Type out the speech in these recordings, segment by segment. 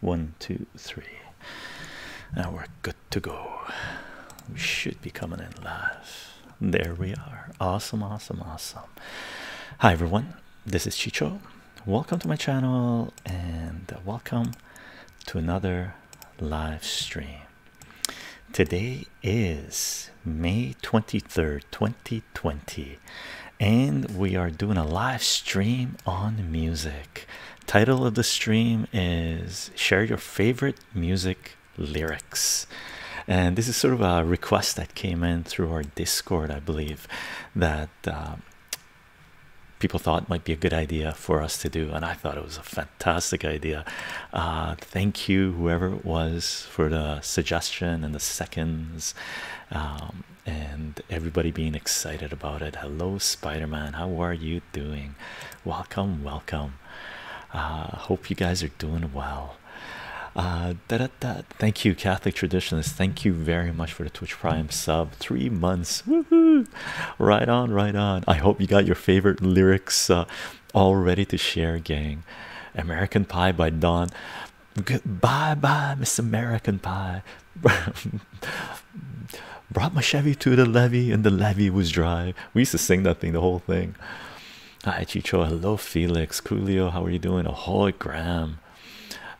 One, two, three, and we're good to go. We should be coming in live. There we are. Awesome, awesome, awesome. Hi, everyone. This is Chicho. Welcome to my channel and welcome to another live stream. Today is May 23rd, 2020, and we are doing a live stream on music. Title of the stream is Share Your Favorite Music Lyrics. And this is sort of a request that came in through our Discord, I believe, that uh, people thought might be a good idea for us to do. And I thought it was a fantastic idea. Uh, thank you, whoever it was, for the suggestion and the seconds. Um, and everybody being excited about it. Hello, Spider Man, how are you doing? Welcome, welcome. Uh, hope you guys are doing well. Uh, da -da -da. Thank you, Catholic Traditionalist. Thank you very much for the Twitch Prime sub. Three months. Right on, right on. I hope you got your favorite lyrics uh, all ready to share, gang. American Pie by Don. Goodbye, bye, Miss American Pie. Brought my Chevy to the levee, and the levee was dry. We used to sing that thing, the whole thing. Hi, Chicho. Hello, Felix. Julio. how are you doing? A whole gram.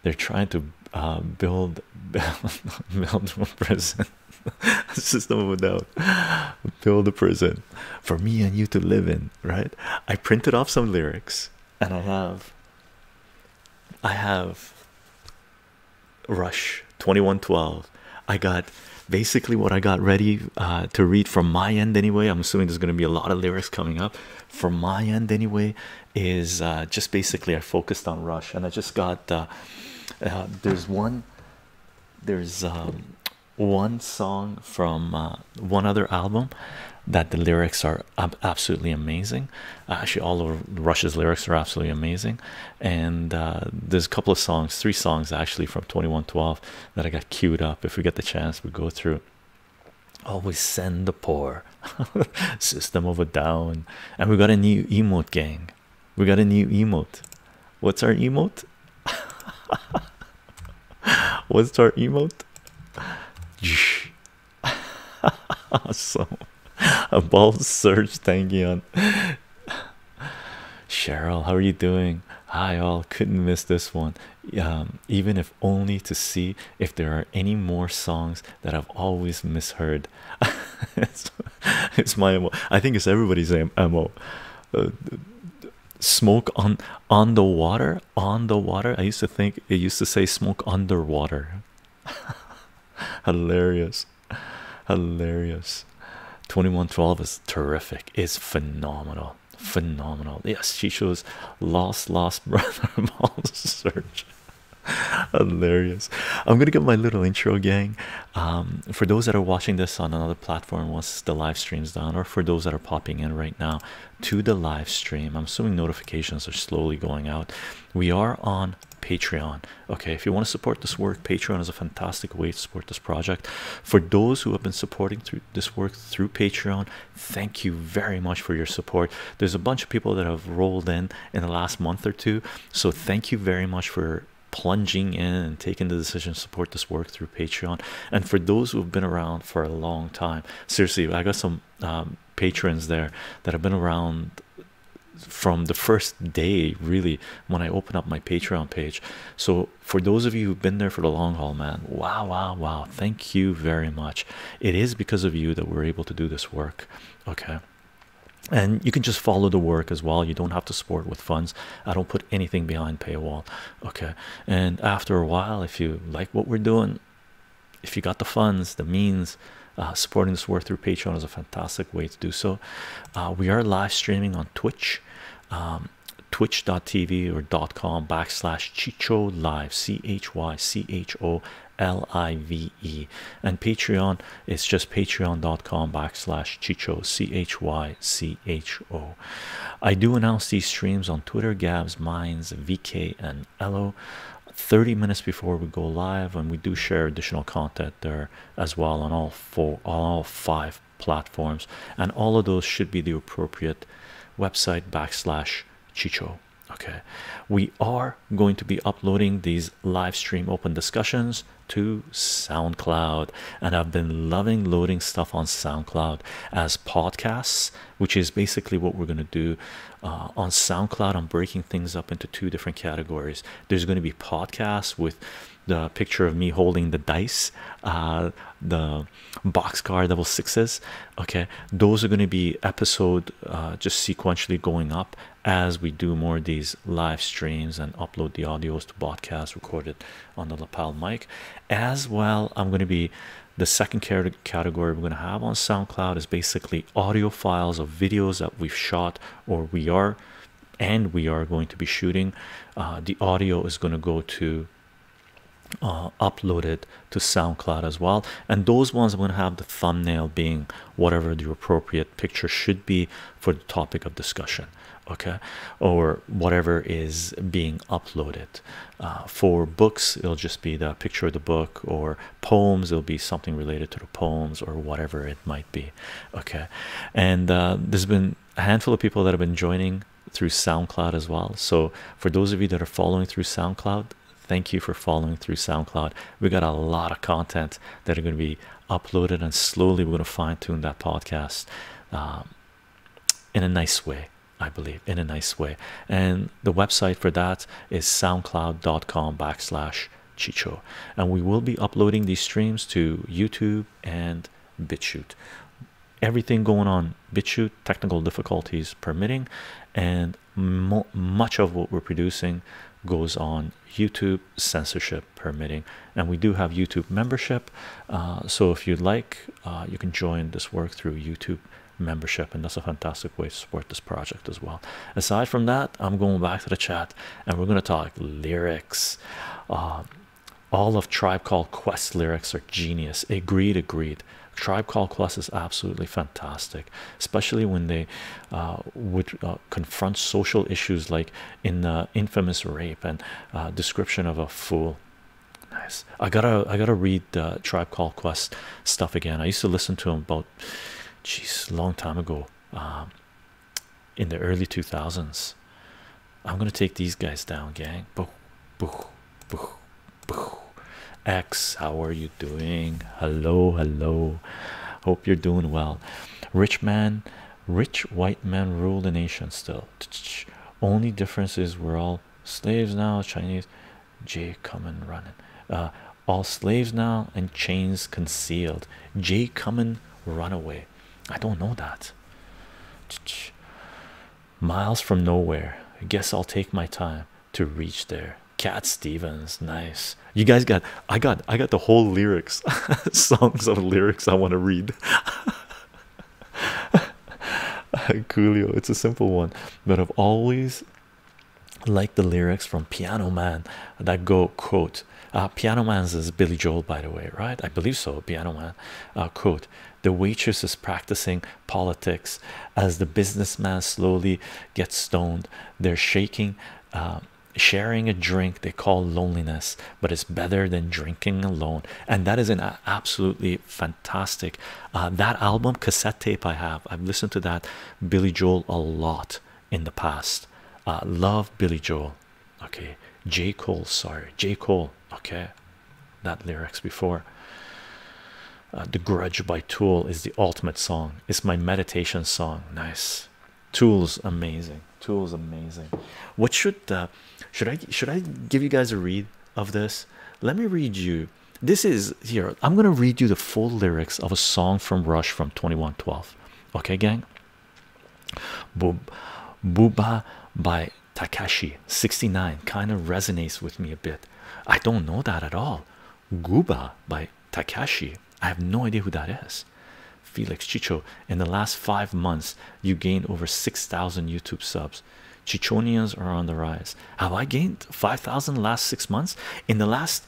They're trying to uh, build build a prison. System of a doubt. Build a prison for me and you to live in. Right? I printed off some lyrics, and I have. I have Rush 2112. I got basically what I got ready uh, to read from my end anyway. I'm assuming there's going to be a lot of lyrics coming up from my end anyway. Is uh, just basically I focused on Rush and I just got uh, there's one there's um, one song from one other album that the lyrics are absolutely amazing. Uh, actually, all of Russia's lyrics are absolutely amazing. And uh, there's a couple of songs, three songs actually from 2012 that I got queued up. If we get the chance, we go through. Always send the poor system over down. And we got a new emote, gang. We got a new emote. What's our emote? What's our emote? so above search tangy on Cheryl, how are you doing? Hi all, couldn't miss this one. Um, even if only to see if there are any more songs that I've always misheard. it's, my MO. I think it's everybody's MO. Uh, smoke on on the water, on the water. I used to think it used to say smoke underwater. hilarious hilarious 2112 is terrific It's phenomenal phenomenal yes she shows lost lost brother search hilarious i'm gonna give my little intro gang um, for those that are watching this on another platform once the live stream's done or for those that are popping in right now to the live stream i'm assuming notifications are slowly going out we are on Patreon. Okay, if you want to support this work, Patreon is a fantastic way to support this project. For those who have been supporting through this work through Patreon, thank you very much for your support. There's a bunch of people that have rolled in in the last month or two, so thank you very much for plunging in and taking the decision to support this work through Patreon. And for those who have been around for a long time, seriously, I got some um, patrons there that have been around from the first day really when i open up my patreon page so for those of you who've been there for the long haul man wow wow wow thank you very much it is because of you that we're able to do this work okay and you can just follow the work as well you don't have to support with funds i don't put anything behind paywall okay and after a while if you like what we're doing if you got the funds, the means, uh, supporting this work through Patreon is a fantastic way to do so. Uh, we are live streaming on Twitch, um, twitch.tv or .com backslash Chicho Live, C H Y C H O L I V E, and Patreon is just patreon.com backslash Chicho, C H Y C H O. I do announce these streams on Twitter, Gabs, Minds, VK, and Elo. 30 minutes before we go live and we do share additional content there as well on all four on all five platforms and all of those should be the appropriate website backslash chicho okay we are going to be uploading these live stream open discussions to soundcloud and i've been loving loading stuff on soundcloud as podcasts which is basically what we're going to do uh, on SoundCloud. I'm breaking things up into two different categories. There's going to be podcasts with the picture of me holding the dice, uh, the boxcar double sixes. Okay, those are going to be episode uh, just sequentially going up as we do more of these live streams and upload the audios to podcasts recorded on the lapel mic. As well, I'm going to be the second category we're going to have on SoundCloud is basically audio files of videos that we've shot or we are and we are going to be shooting uh, the audio is going to go to uh, upload it to SoundCloud as well and those ones are going to have the thumbnail being whatever the appropriate picture should be for the topic of discussion okay or whatever is being uploaded uh, for books it'll just be the picture of the book or poems it'll be something related to poems or whatever it might be okay and uh, there's been a handful of people that have been joining through SoundCloud as well so for those of you that are following through SoundCloud thank you for following through SoundCloud we got a lot of content that are going to be uploaded and slowly we're going to fine-tune that podcast um, in a nice way I believe in a nice way and the website for that is soundcloud.com backslash Chicho, and we will be uploading these streams to YouTube and BitChute. Everything going on BitChute, technical difficulties permitting, and much of what we're producing goes on YouTube, censorship permitting. And we do have YouTube membership, uh, so if you'd like, uh, you can join this work through YouTube membership, and that's a fantastic way to support this project as well. Aside from that, I'm going back to the chat and we're going to talk lyrics. Um, all of Tribe Called Quest lyrics are genius. Agreed, agreed. Tribe Called Quest is absolutely fantastic, especially when they uh, would uh, confront social issues like in the infamous rape and uh, description of a fool. Nice. I gotta, I gotta read Tribe Called Quest stuff again. I used to listen to them about, jeez, long time ago um, in the early 2000s. I'm gonna take these guys down, gang. Boo, boo, boo, boo. X, how are you doing? Hello, hello. Hope you're doing well. Rich man, rich white man rule the nation still. Only difference is we're all slaves now. Chinese, J coming running. Uh, all slaves now and chains concealed j Cummin runaway i don't know that miles from nowhere i guess i'll take my time to reach there cat stevens nice you guys got i got i got the whole lyrics songs of lyrics i want to read coolio it's a simple one but i've always like the lyrics from Piano Man that go quote uh, Piano Man's is Billy Joel by the way right I believe so Piano Man uh, quote the waitress is practicing politics as the businessman slowly gets stoned they're shaking um, sharing a drink they call loneliness but it's better than drinking alone and that is an absolutely fantastic uh, that album cassette tape I have I've listened to that Billy Joel a lot in the past. Uh, love Billy Joel, okay. J. Cole, sorry, J. Cole, okay. That lyrics before. Uh, the Grudge by Tool is the ultimate song. It's my meditation song. Nice. Tool's amazing. Tool's amazing. What should uh, should I should I give you guys a read of this? Let me read you. This is here. I'm gonna read you the full lyrics of a song from Rush from 2112 okay gang booba by takashi 69 kind of resonates with me a bit i don't know that at all gooba by takashi i have no idea who that is felix chicho in the last five months you gained over 6000 youtube subs chichonians are on the rise have i gained 5000 last six months in the last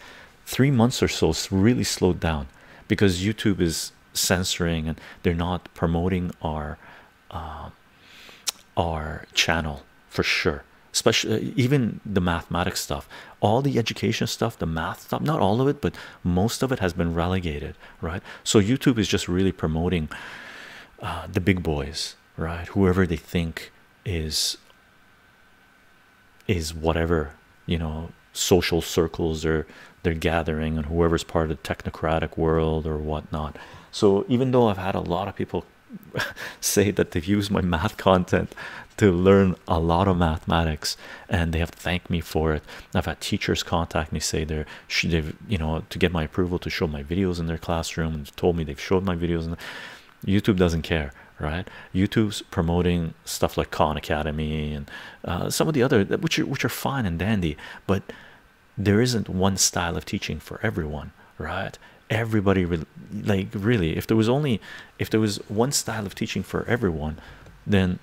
three months or so really slowed down because YouTube is censoring and they're not promoting our uh, our channel for sure especially uh, even the mathematics stuff all the education stuff the math stuff not all of it but most of it has been relegated right so youtube is just really promoting uh, the big boys right whoever they think is is whatever you know social circles or they're gathering and whoever's part of the technocratic world or whatnot so even though i've had a lot of people say that they've used my math content to learn a lot of mathematics and they have thanked me for it i've had teachers contact me say they're they've you know to get my approval to show my videos in their classroom and told me they've showed my videos and youtube doesn't care right youtube's promoting stuff like khan academy and uh, some of the other which are, which are fine and dandy but there isn't one style of teaching for everyone right everybody re like really if there was only if there was one style of teaching for everyone then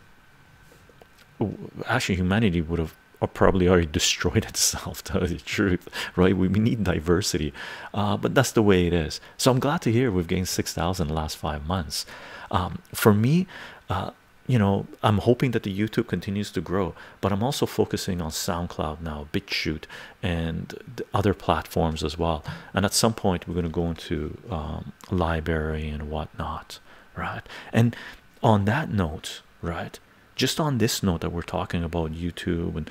actually humanity would have uh, probably already destroyed itself to tell you the truth right we, we need diversity uh, but that's the way it is so I'm glad to hear we've gained 6,000 the last five months. Um, for me, uh, you know, I'm hoping that the YouTube continues to grow, but I'm also focusing on SoundCloud now, BitChute, and other platforms as well. And at some point, we're going to go into um, library and whatnot, right? And on that note, right, just on this note that we're talking about YouTube and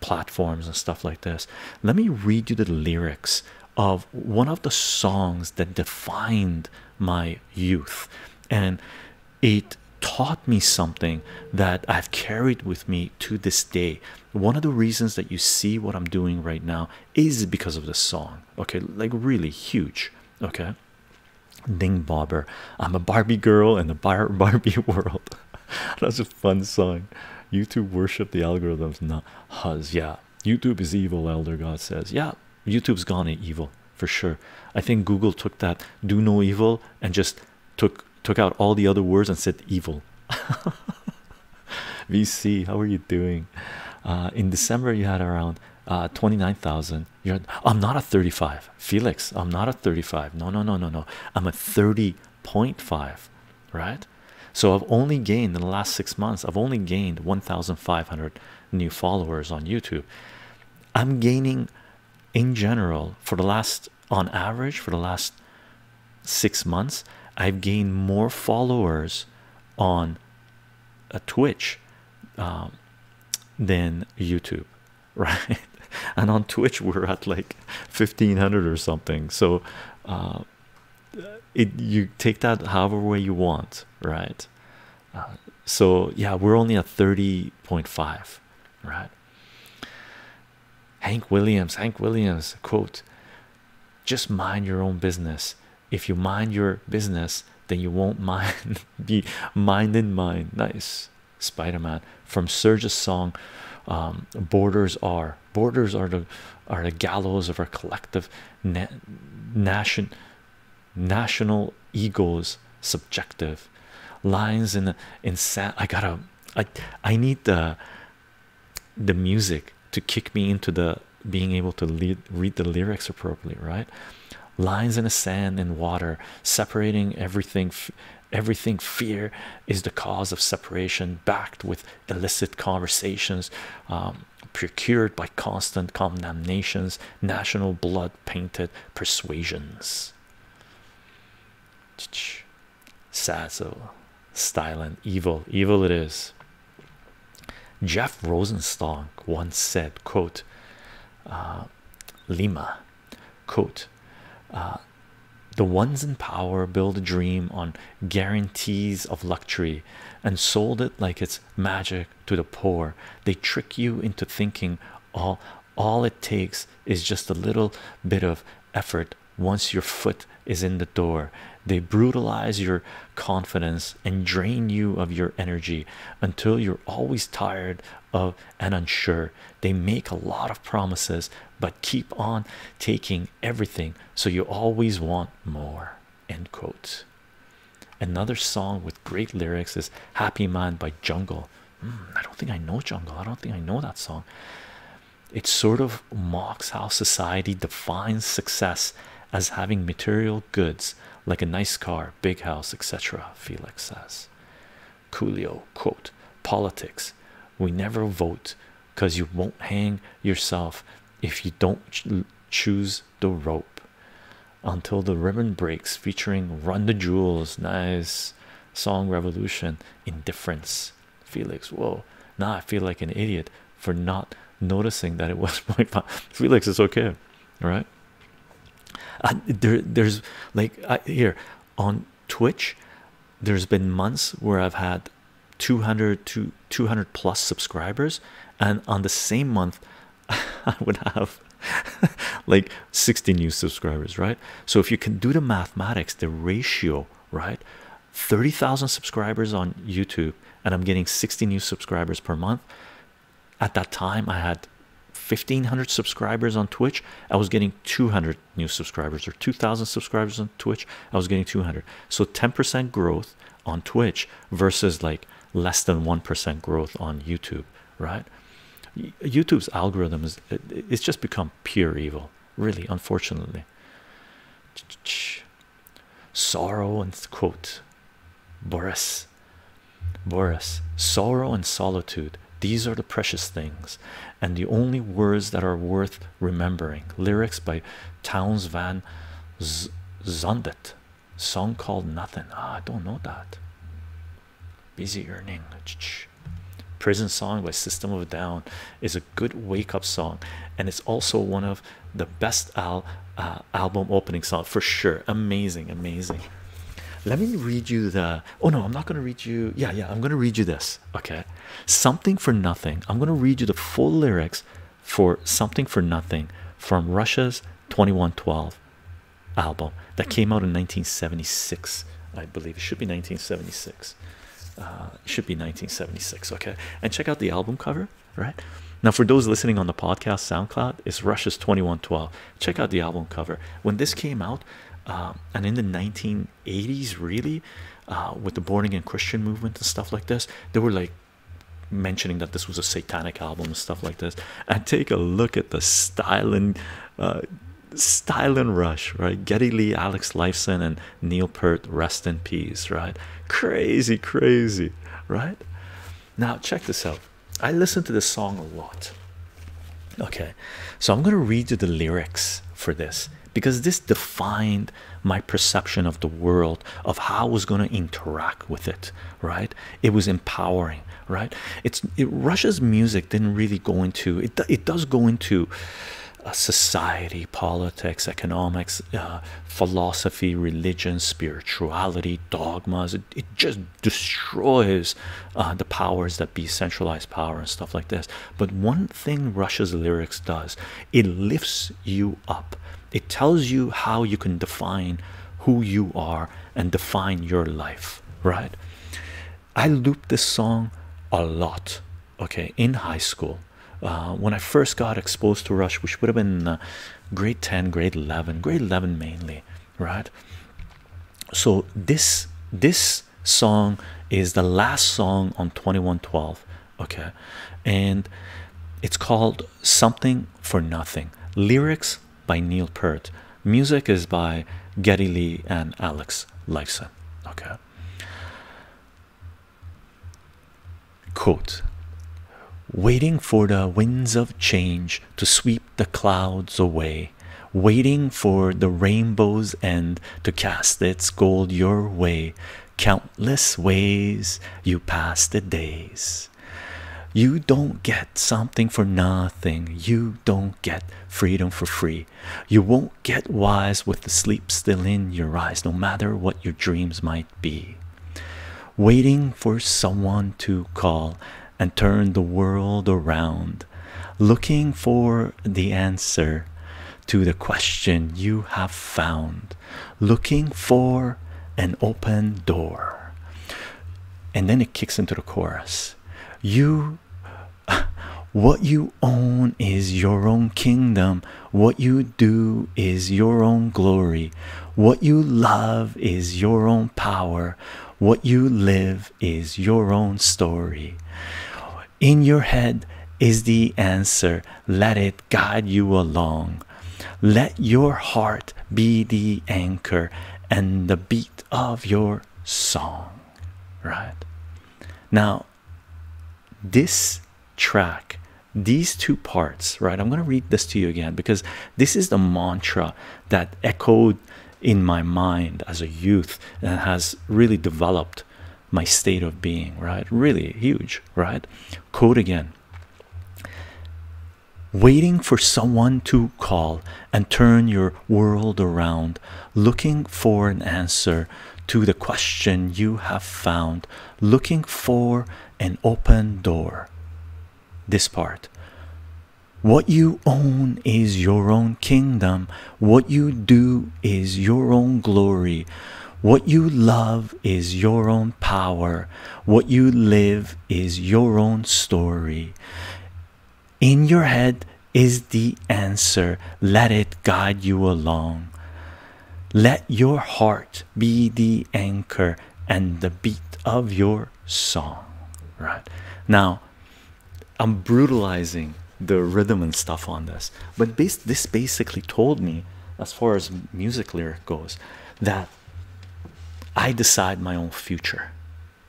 platforms and stuff like this, let me read you the lyrics of one of the songs that defined my youth and it taught me something that I've carried with me to this day. One of the reasons that you see what I'm doing right now is because of the song. Okay, like really huge. Okay, Ding Bobber. I'm a Barbie girl in the Barbie world. fun song. YouTube worship the algorithms. Not Huz. Yeah. YouTube is evil, Elder God says. Yeah. YouTube's gone evil for sure. I think Google took that do no evil and just took took out all the other words and said evil. VC, how are you doing? Uh, in December, you had around uh, 29,000. You're I'm not a 35, Felix. I'm not a 35. No, no, no, no, no. I'm a 30.5, right? so i've only gained in the last six months i've only gained 1500 new followers on youtube i'm gaining in general for the last on average for the last six months i've gained more followers on a uh, twitch um, than youtube right and on twitch we're at like 1500 or something so uh it you take that however way you want, right? Uh, so yeah, we're only at 30.5, right? Hank Williams, Hank Williams quote, just mind your own business. If you mind your business, then you won't mind be mind in mind. Nice Spider-Man from Surge's song um, Borders Are Borders are the are the gallows of our collective national egos subjective lines in sand. I gotta I I need the the music to kick me into the being able to read the lyrics appropriately right lines in the sand and water separating everything everything fear is the cause of separation backed with illicit conversations um, procured by constant condemnations, national blood painted persuasions. Sazzo, styling, evil, evil it is. Jeff Rosenstock once said, quote, uh, Lima, quote, uh, the ones in power build a dream on guarantees of luxury and sold it like it's magic to the poor. They trick you into thinking all all it takes is just a little bit of effort once your foot is in the door. They brutalize your confidence and drain you of your energy until you're always tired of and unsure. They make a lot of promises but keep on taking everything so you always want more end quote another song with great lyrics is happy man by jungle hmm, i don't think i know jungle i don't think i know that song it sort of mocks how society defines success as having material goods like a nice car big house etc felix says coolio quote politics we never vote because you won't hang yourself if you don't choose the rope until the ribbon breaks featuring run the jewels nice song revolution indifference felix whoa now i feel like an idiot for not noticing that it was my felix it's okay all right there there's like here on twitch there's been months where i've had 200 to 200 plus subscribers and on the same month i would have like 60 new subscribers right so if you can do the mathematics the ratio right 30,000 subscribers on youtube and i'm getting 60 new subscribers per month at that time i had 1500 subscribers on twitch i was getting 200 new subscribers or 2000 subscribers on twitch i was getting 200 so 10% growth on Twitch versus like less than 1% growth on YouTube, right? YouTube's algorithm is it's just become pure evil, really, unfortunately. Sorrow and quote Boris Boris sorrow and solitude these are the precious things and the only words that are worth remembering lyrics by Towns Van Z Zondet. Song called Nothing. Ah, I don't know that. Busy Earning. Prison Song by System of a Down is a good wake up song, and it's also one of the best al uh, album opening song for sure. Amazing, amazing. Let me read you the. Oh no, I'm not gonna read you. Yeah, yeah, I'm gonna read you this. Okay, something for nothing. I'm gonna read you the full lyrics for Something for Nothing from Russia's 2112 album that came out in 1976. I believe it should be 1976. Uh, it should be 1976. Okay, and check out the album cover right now. For those listening on the podcast, SoundCloud is Russia's 2112. Check out the album cover when this came out, um, and in the 1980s, really, uh, with the born again Christian movement and stuff like this, they were like mentioning that this was a satanic album and stuff like this. And take a look at the style and uh, style and rush, right? Getty Lee, Alex Lifeson, and Neil Peart, rest in peace, right? Crazy, crazy, right? Now, check this out. I listen to this song a lot. Okay, so I'm gonna read you the lyrics for this because this defined my perception of the world of how I was going to interact with it right it was empowering right it's it, Russia's music didn't really go into it it does go into uh, society politics economics uh, philosophy religion spirituality dogmas it, it just destroys uh, the powers that be centralized power and stuff like this but one thing Russia's lyrics does it lifts you up it tells you how you can define who you are and define your life, right? I looped this song a lot, okay, in high school. Uh, when I first got exposed to Rush, which would have been uh, grade 10, grade 11, grade 11 mainly, right? So this this song is the last song on 2112 okay and it's called something for nothing lyrics by neil peart music is by getty lee and alex lifeson okay quote waiting for the winds of change to sweep the clouds away waiting for the rainbow's end to cast its gold your way countless ways you pass the days. You don't get something for nothing. You don't get freedom for free. You won't get wise with the sleep still in your eyes, no matter what your dreams might be. Waiting for someone to call and turn the world around. Looking for the answer to the question you have found looking for an open door and then it kicks into the chorus you what you own is your own kingdom what you do is your own glory what you love is your own power what you live is your own story in your head is the answer let it guide you along. Let your heart be the anchor and the beat of your song. Right now, this track, these two parts, right? I'm going to read this to you again because this is the mantra that echoed in my mind as a youth and has really developed my state of being, right? Really huge, right? Code again. Waiting for someone to call and turn your world around, looking for an answer to the question you have found, looking for an open door. This part. What you own is your own kingdom, what you do is your own glory. What you love is your own power. What you live is your own story. In your head is the answer. Let it guide you along. Let your heart be the anchor and the beat of your song. Right now, I'm brutalizing the rhythm and stuff on this but this basically told me as far as music lyric goes that i decide my own future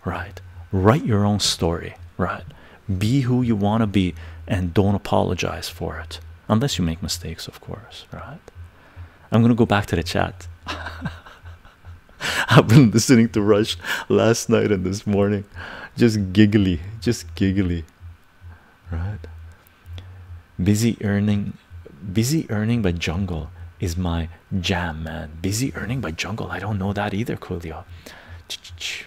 right write your own story right be who you want to be and don't apologize for it unless you make mistakes of course right i'm going to go back to the chat i've been listening to rush last night and this morning just giggly just giggly right? Busy earning, busy earning by jungle is my jam, man. Busy earning by jungle. I don't know that either, Coolio. Ch -ch -ch.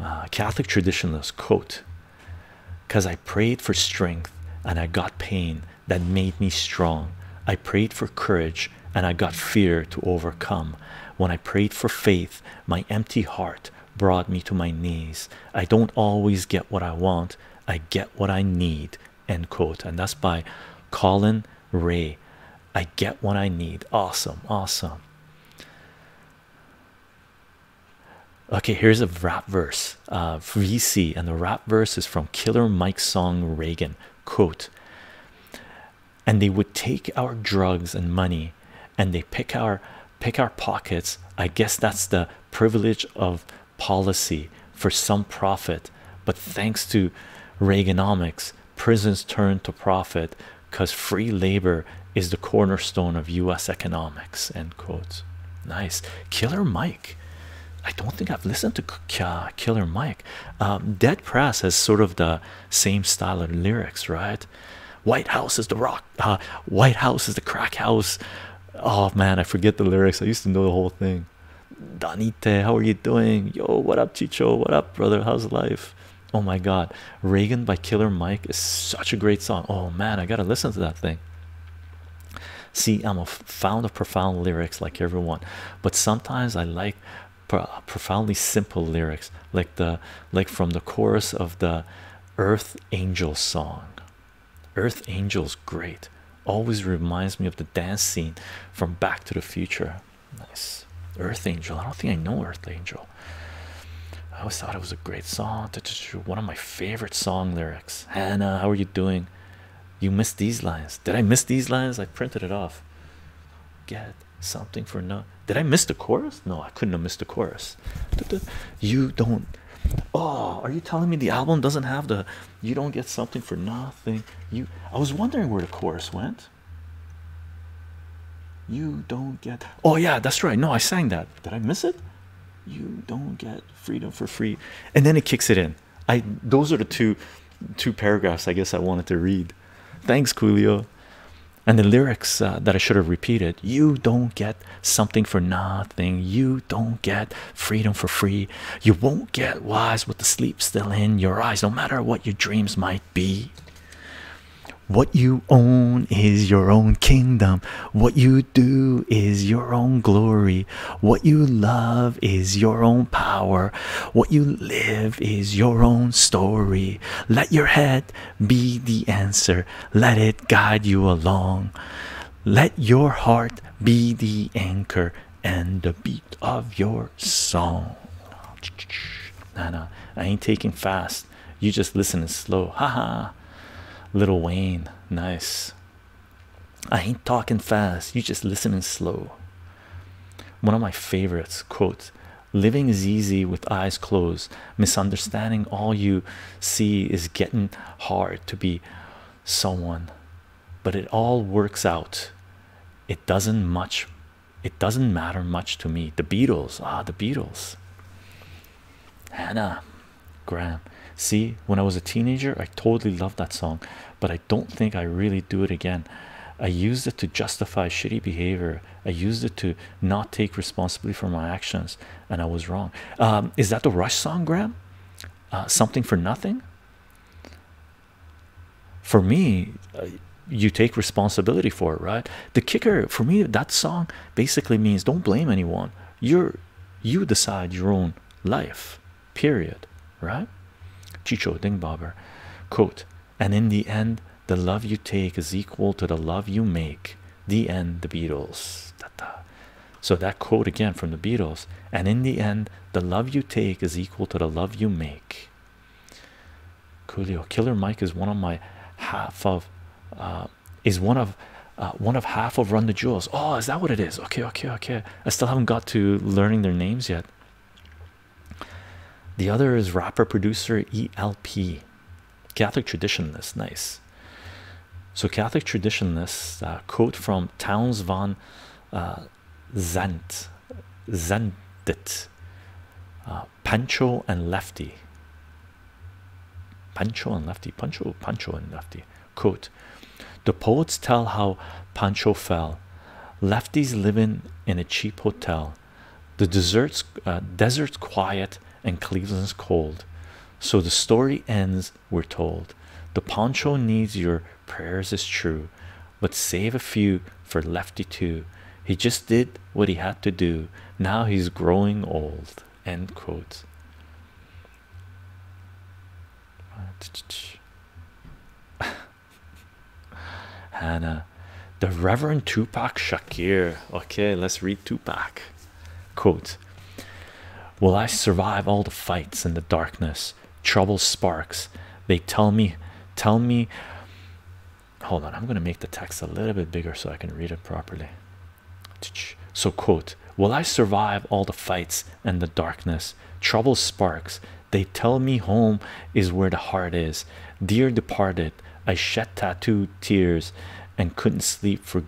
Ah, Catholic traditionalist quote because I prayed for strength and I got pain that made me strong. I prayed for courage and I got fear to overcome. When I prayed for faith, my empty heart brought me to my knees. I don't always get what I want, I get what I need. End quote. And that's by Colin Ray. I get what I need. Awesome, awesome. Okay, here's a rap verse. Uh, VC, and the rap verse is from Killer Mike's song Reagan. Quote, and they would take our drugs and money and they pick our pick our pockets. I guess that's the privilege of policy for some profit. But thanks to Reaganomics, prisons turn to profit because free labor is the cornerstone of US economics. End quote. Nice. Killer Mike. I don't think I've listened to Killer Mike. Um, Dead Press has sort of the same style of lyrics, right? White House is the rock uh, White House is the crack house. Oh man, I forget the lyrics. I used to know the whole thing. Danite, how are you doing? Yo, what up, Chicho? What up, brother? How's life? Oh my god, Reagan by Killer Mike is such a great song. Oh man, I gotta listen to that thing. See, I'm a fan of profound lyrics like everyone, but sometimes I like profoundly simple lyrics like the like from the chorus of the Earth Angel song. Earth Angel's great. Always reminds me of the dance scene from Back to the Future. Nice. Earth Angel. I don't think I know Earth Angel. I always thought it was a great song. One of my favorite song lyrics. Hannah, how are you doing? You missed these lines. Did I miss these lines? I printed it off. Get something for no did I miss the chorus? No, I couldn't have missed the chorus. You don't. Oh, are you telling me the album doesn't have the you don't get something for nothing? You I was wondering where the chorus went. You don't get oh, yeah, that's right. No, I sang that. Did I miss it? You don't get freedom for free, and then it kicks it in. I those are the two two paragraphs I guess I wanted to read. Thanks, Julio and the lyrics uh, that I should have repeated you don't get something for nothing, you don't get freedom for free, you won't get wise with the sleep still in your eyes, no matter what your dreams might be. What you own is your own kingdom, what you do is your own glory, what you love is your own power, what you live is your own story. Let your head be the answer. Let it guide you along. Let your heart be the anchor and the beat of your song. Nah, I ain't taking fast. You just listening slow. Ha ha, Little Wayne, nice. I ain't talking fast. You just listening slow. One of my favorites Quote. Living is easy with eyes closed. Misunderstanding all you see is getting hard to be someone, but it all works out. It doesn't much, it doesn't matter much to me. The Beatles, ah, the Beatles. Hannah Graham. See, when I was a teenager, I totally loved that song, but I don't think I really do it again. I used it to justify shitty behavior I used it to not take responsibility for my actions, and I was wrong. Um, is that the Rush song, Graham? Uh, something for nothing. For me, uh, you take responsibility for it, right? The kicker for me, that song basically means don't blame anyone. You're you decide your own life. Period. Right? Chicho Dingbobber, quote, and in the end, the love you take is equal to the love you make. The end, the Beatles. Da So that quote again from the Beatles. And in the end, the love you take is equal to the love you make. Coolio, Killer Mike is one of my half of, uh, is one of, uh, one of half of Run the Jewels. Oh, is that what it is? Okay, okay, okay. I still haven't got to learning their names yet. The other is rapper producer ELP. Catholic traditionalists, nice. So Catholic traditionalists uh, quote from Towns von uh, Zandt, uh, Pancho and Lefty. Pancho and Lefty, Pancho, Pancho and Lefty. Quote: The poets tell how Pancho fell. Lefty's living in a cheap hotel. The deserts, uh, desert quiet and Cleveland's cold. So the story ends, we're told. The poncho needs your prayers is true, but save a few for Lefty too. He just did what he had to do. Now he's growing old. End quote. Hannah, the Reverend Tupac Shakir. Okay, let's read Tupac. Quote Will I survive all the fights in the darkness? Trouble sparks. They tell me, tell me. Hold on, I'm going to make the text a little bit bigger so I can read it properly. So, quote, will I survive all the fights and the darkness? Trouble sparks. They tell me home is where the heart is. Dear departed, I shed tattooed tears and couldn't sleep for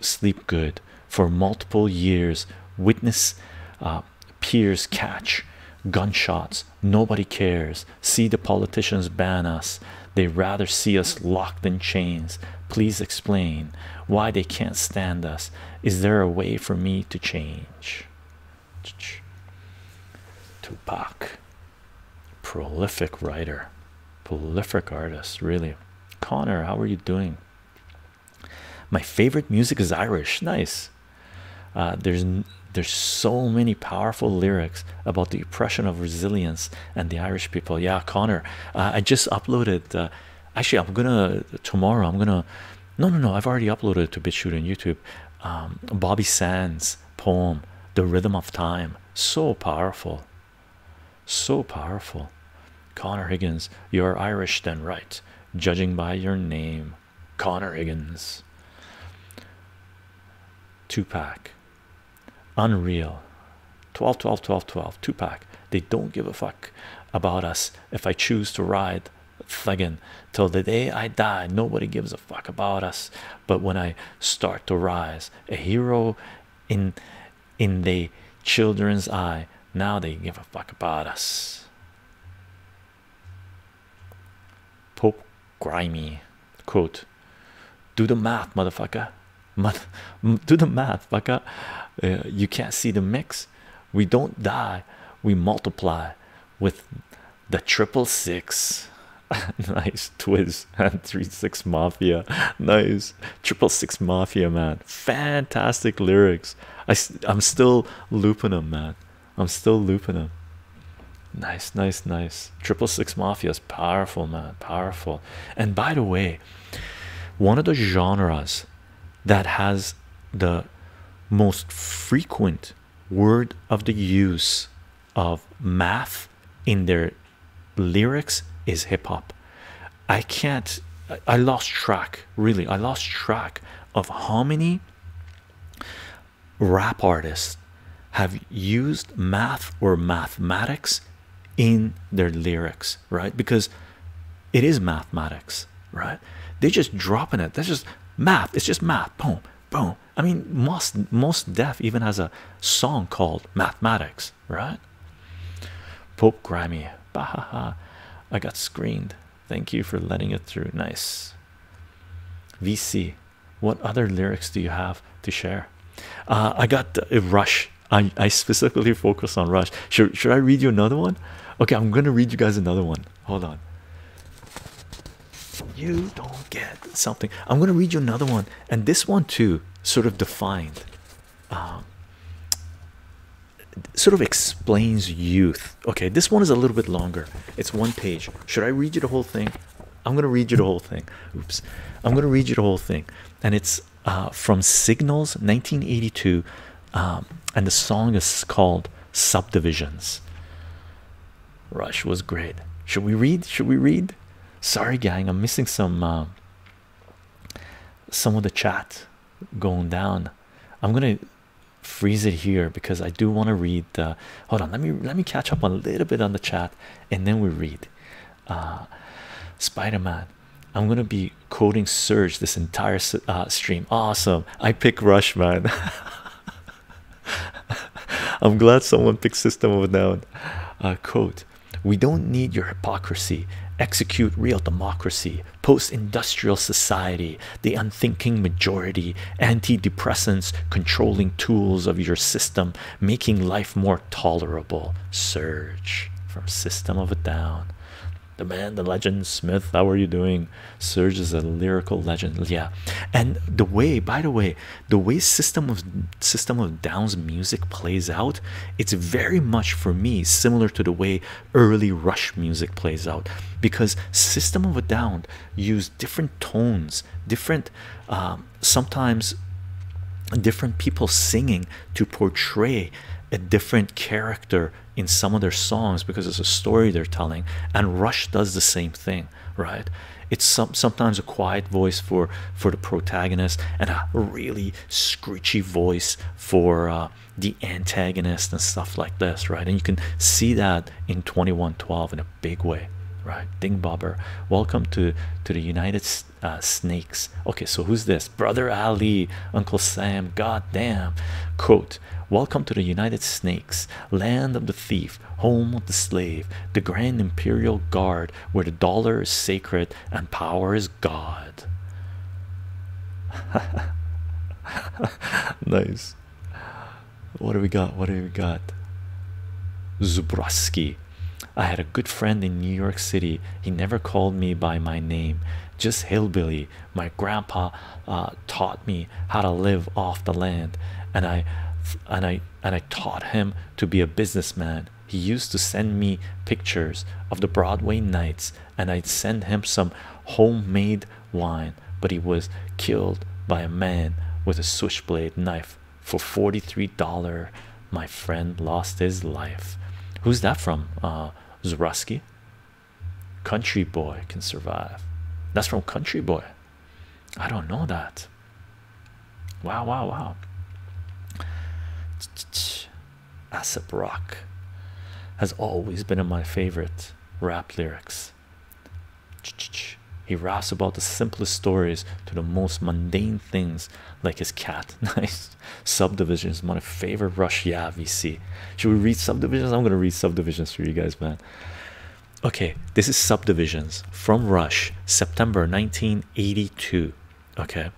sleep good for multiple years witness uh, peers catch gunshots nobody cares see the politicians ban us they rather see us locked in chains please explain why they can't stand us is there a way for me to change tupac prolific writer, prolific artist, really. Connor, how are you doing? My favorite music is Irish. Nice. Uh, there's there's so many powerful lyrics about the oppression of resilience and the Irish people. Yeah, Connor, uh, I just uploaded. Uh, actually, I'm gonna tomorrow. I'm gonna. No, no, no. I've already uploaded to BitChute and YouTube. Um, Bobby Sands poem, "The Rhythm of Time," so powerful. So powerful. Connor Higgins, you're Irish, then right, judging by your name. Connor Higgins. Two pack. Unreal. 12, Two pack. They don't give a fuck about us if I choose to ride thuggin till the day I die. Nobody gives a fuck about us. But when I start to rise, a hero in in the children's eye now they give a fuck about us pope grimy quote do the math motherfucker do the math fucker uh, you can't see the mix we don't die we multiply with the triple six nice Twiz and three six mafia. Nice triple six mafia man. Fantastic lyrics. I I'm still looping them, man. I'm still looping them. Nice, nice, nice. Triple six mafia is powerful, man. Powerful. And by the way, one of the genres that has the most frequent word of the use of math in their lyrics is hip-hop i can't i lost track really i lost track of how many rap artists have used math or mathematics in their lyrics right because it is mathematics right they're just dropping it that's just math it's just math boom boom i mean most most deaf even has a song called Mathematics, right? Pope Grammy, bahaha. I got screened. Thank you for letting it through. Nice. VC, what other lyrics do you have to share? Uh, I got uh, rush. I, I specifically focus on rush. Should, should I read you another one? Okay, I'm gonna read you guys another one. Hold on. You don't get something. I'm gonna read you another one and this one too sort of defined um, sort of explains youth okay this one is a little bit longer it's one page should i read you the whole thing i'm going to read you the whole thing oops i'm going to read you the whole thing and it's uh, from signals 1982 um, and the song is called subdivisions rush was great should we read should we read Sorry, gang, I'm missing some uh, some of the chat going down. I'm gonna freeze it here because I do want to read. Uh, hold on, let me let me catch up a little bit on the chat, and then we read. Uh, Spider-Man. I'm gonna be coding Surge this entire uh, stream. Awesome! I pick Rush, man. I'm glad someone picked System of a Down. Uh, we don't need your hypocrisy. Execute real democracy, post industrial society, the unthinking majority, antidepressants, controlling tools of your system, making life more tolerable. Surge from System of a Down. The man, the legend, Smith, how are you doing? Surge is a lyrical legend, yeah. And the way, by the way, the way system of system of down's music plays out it's very much for me similar to the way early rush music plays out because system of a down use different tones different um, sometimes different people singing to portray a different character in some of their songs because it's a story they're telling and rush does the same thing right it's sometimes a quiet voice for for the protagonist and a really screechy voice for uh, the antagonist and stuff like this right and you can see that in 2112 in a big way right ding bobber welcome to to the united uh, snakes okay so who's this brother ali uncle sam God damn. quote welcome to the united snakes land of the thief home of the slave the grand imperial guard where the dollar is sacred and power is God. nice. What do we got? What do we got? Zubrowski. I had a good friend in New York City. He never called me by my name, just hillbilly. My grandpa uh, taught me how to live off the land, and I and I and I taught him to be a businessman he used to send me pictures of the broadway nights and i'd send him some homemade wine but he was killed by a man with a switchblade knife for 43 dollar my friend lost his life who's that from Ah, uh, Zuraski? country boy can survive that's from country boy i don't know that Wow, wow, wow. Asap Rock has always been in my favorite rap lyrics. He raps about the simplest stories to the most mundane things, like his cat. Nice subdivisions, is my favorite. Rush, yeah, VC. Should we read subdivisions? I'm gonna read subdivisions for you guys, man. Okay, this is subdivisions from Rush, September 1982 okay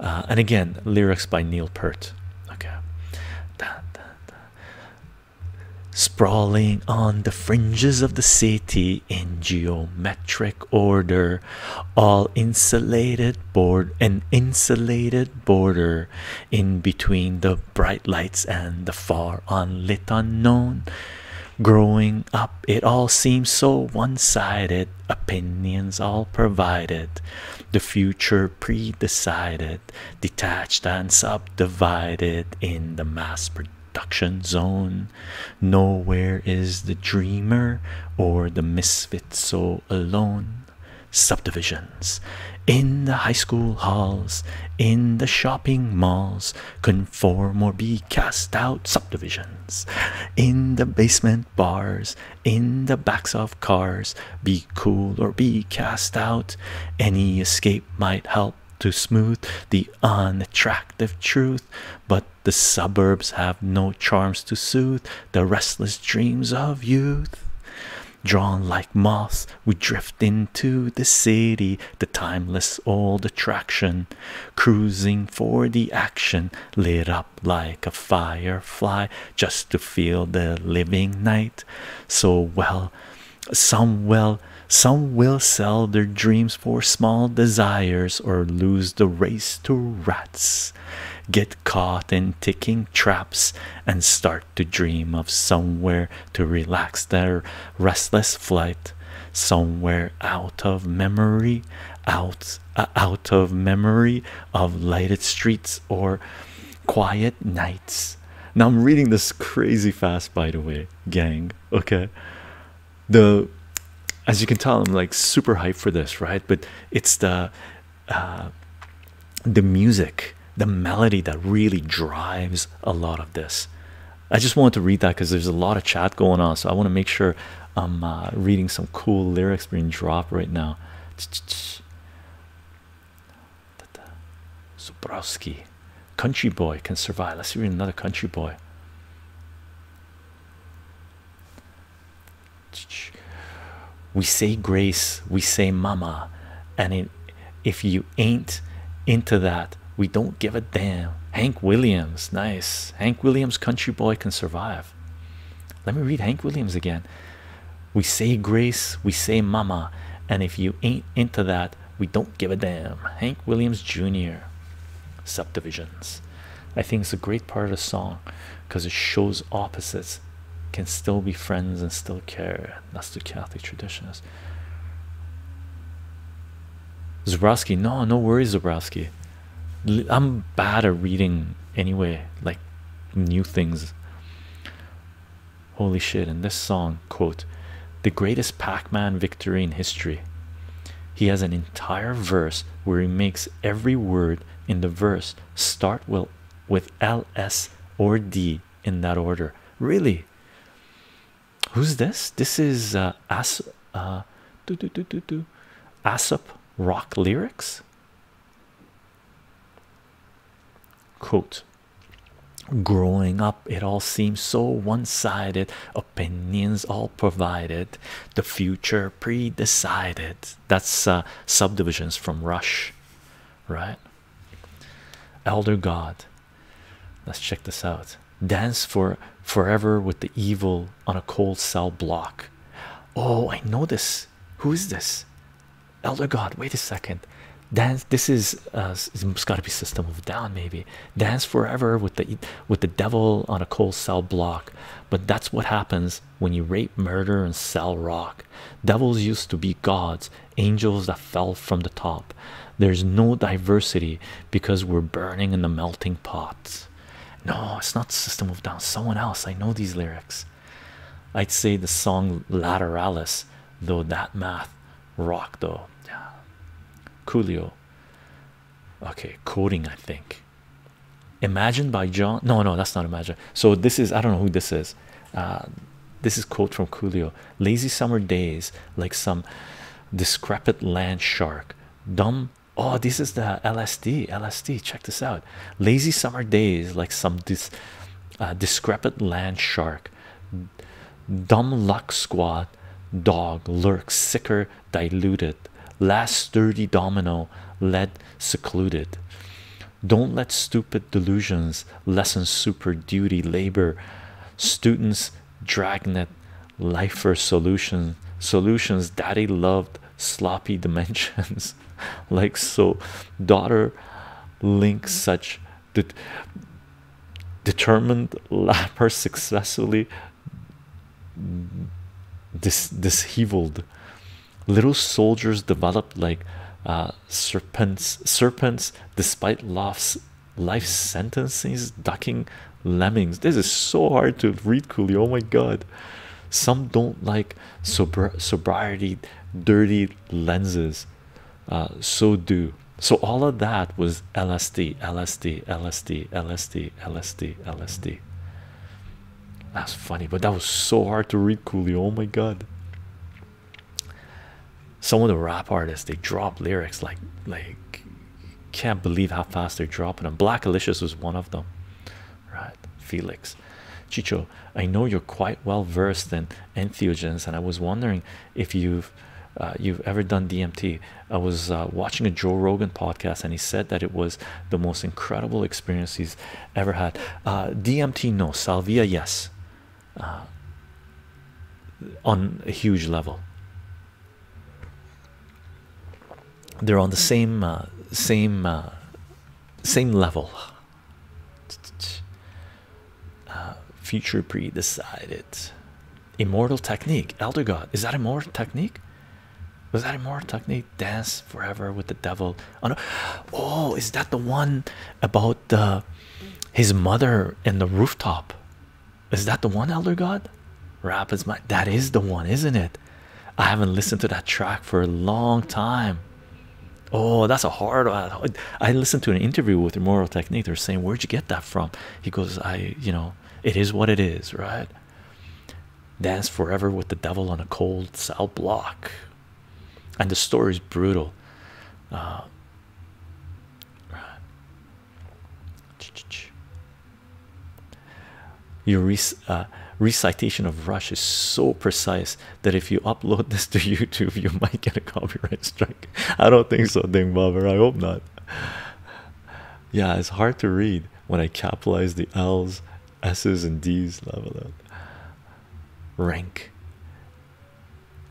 uh, and again lyrics by neil peart okay sprawling on the fringes of the city in geometric order all insulated board an insulated border in between the bright lights and the far unlit unknown growing up it all seems so one-sided opinions all provided the future pre-decided detached and subdivided in the mass production zone nowhere is the dreamer or the misfit so alone subdivisions in the high school halls in the shopping malls conform or be cast out subdivisions in the basement bars, in the backs of cars. Be cool or be cast out. Any escape might help to smooth the unattractive truth, but the suburbs have no charms to soothe the restless dreams of youth. Drawn like moths, we drift into the city, the timeless old attraction cruising for the action, lit up like a firefly just to feel the living night. So well, some will, some will sell their dreams for small desires or lose the race to rats, get caught in ticking traps, and start to dream of somewhere to relax their restless flight. Somewhere out of memory, out uh, out of memory of lighted streets or quiet nights now i'm reading this crazy fast by the way gang okay the as you can tell i'm like super hyped for this right but it's the uh the music the melody that really drives a lot of this i just wanted to read that because there's a lot of chat going on so i want to make sure I'm uh, reading some cool lyrics being dropped right now. Zubrowski, country boy can survive. Let's read another country boy. We say grace, we say mama, and if you ain't into that, we don't give a damn. Hank Williams, nice. Hank Williams, country boy can survive. Let me read Hank Williams again. We say grace, we say mama, and if you ain't into that, we don't give a damn. Hank Williams Jr. Subdivisions. I think it's a great part of the song because it shows opposites can still be friends and still care. That's the Catholic tradition is. Zabrowski, no, no worries, Zabrowski. I'm bad at reading anyway, like new things. Holy shit, in this song, quote, the greatest Pac Man victory in history. He has an entire verse where he makes every word in the verse start with, with L, S, or D in that order. Really? Who's this? This is uh, uh, uh Asop rock lyrics quote growing up it all seems so one-sided opinions all provided the future pre-decided that's uh, subdivisions from rush right elder god let's check this out dance for forever with the evil on a coal cell block. Oh, I know this. Who is this? Elder God, wait a second. Dance. This is uh, it's got to be System of Down, maybe. Dance forever with the with the devil on a coal cell block. But that's what happens when you rape, murder, and sell rock. Devils used to be gods, angels that fell from the top. There's no diversity because we're burning in the melting pot. No, it's not System of Down. Someone else. I know these lyrics. I'd say the song Lateralis, though that math rock though. Julio. Okay, quoting, I think. Imagine by John. No, no, that's not Imagine. So this is I don't know who this is. Uh, this is quote from Julio. Lazy summer days, like some discrepant land shark, dumb oh this is the lsd lsd check this out lazy summer days like some dis uh, discrepant land shark dumb luck squad dog lurks sicker diluted last sturdy domino led secluded don't let stupid delusions lessen super duty labor students dragnet lifer solution solutions daddy loved sloppy dimensions like so daughter links such determined lapper successfully this disheveled little soldiers developed like uh, serpents serpents despite lofts life sentences ducking lemmings. This is so hard to read, coolly. Oh my god. Some don't like sobriety, dirty lenses. Uh, so do. So all of that was LSD, LSD, LSD, LSD, LSD, LSD. That's funny, but that was so hard to read, coolly. Oh my god. Some of the rap artists they drop lyrics like like can't believe how fast they're dropping them. Black Alicious was one of them, right? Felix, Chicho, I know you're quite well versed in entheogens, and I was wondering if you've uh, you've ever done DMT. I was uh, watching a Joe Rogan podcast, and he said that it was the most incredible experience he's ever had. Uh, DMT, no. Salvia, yes. on a huge level they're on the same, uh, same, uh, same level. Uh, future pre-decided. Immortal technique. Elder God. Is that immortal technique? Was that immortal technique? Dance forever with the devil. Oh, no. oh is that the one about the, his mother and the rooftop? Is that the one, Elder God? Rapids, my that is the one, isn't it? I haven't listened to that track for a long time. Oh, that's a hard one. I listened to an interview with Immoral Technique. They're saying, Where'd you get that from? He goes, I, you know, it is what it is, right? Dance forever with the devil on a cold cell block. And the story is brutal. Uh, right. Your uh, recitation of Rush is so precise that if you upload this to YouTube, you might get a copyright strike. I don't think so, Ding Bobber. I hope not. Yeah, it's hard to read when I capitalize the L's, S's, and D's. Level up. Rank.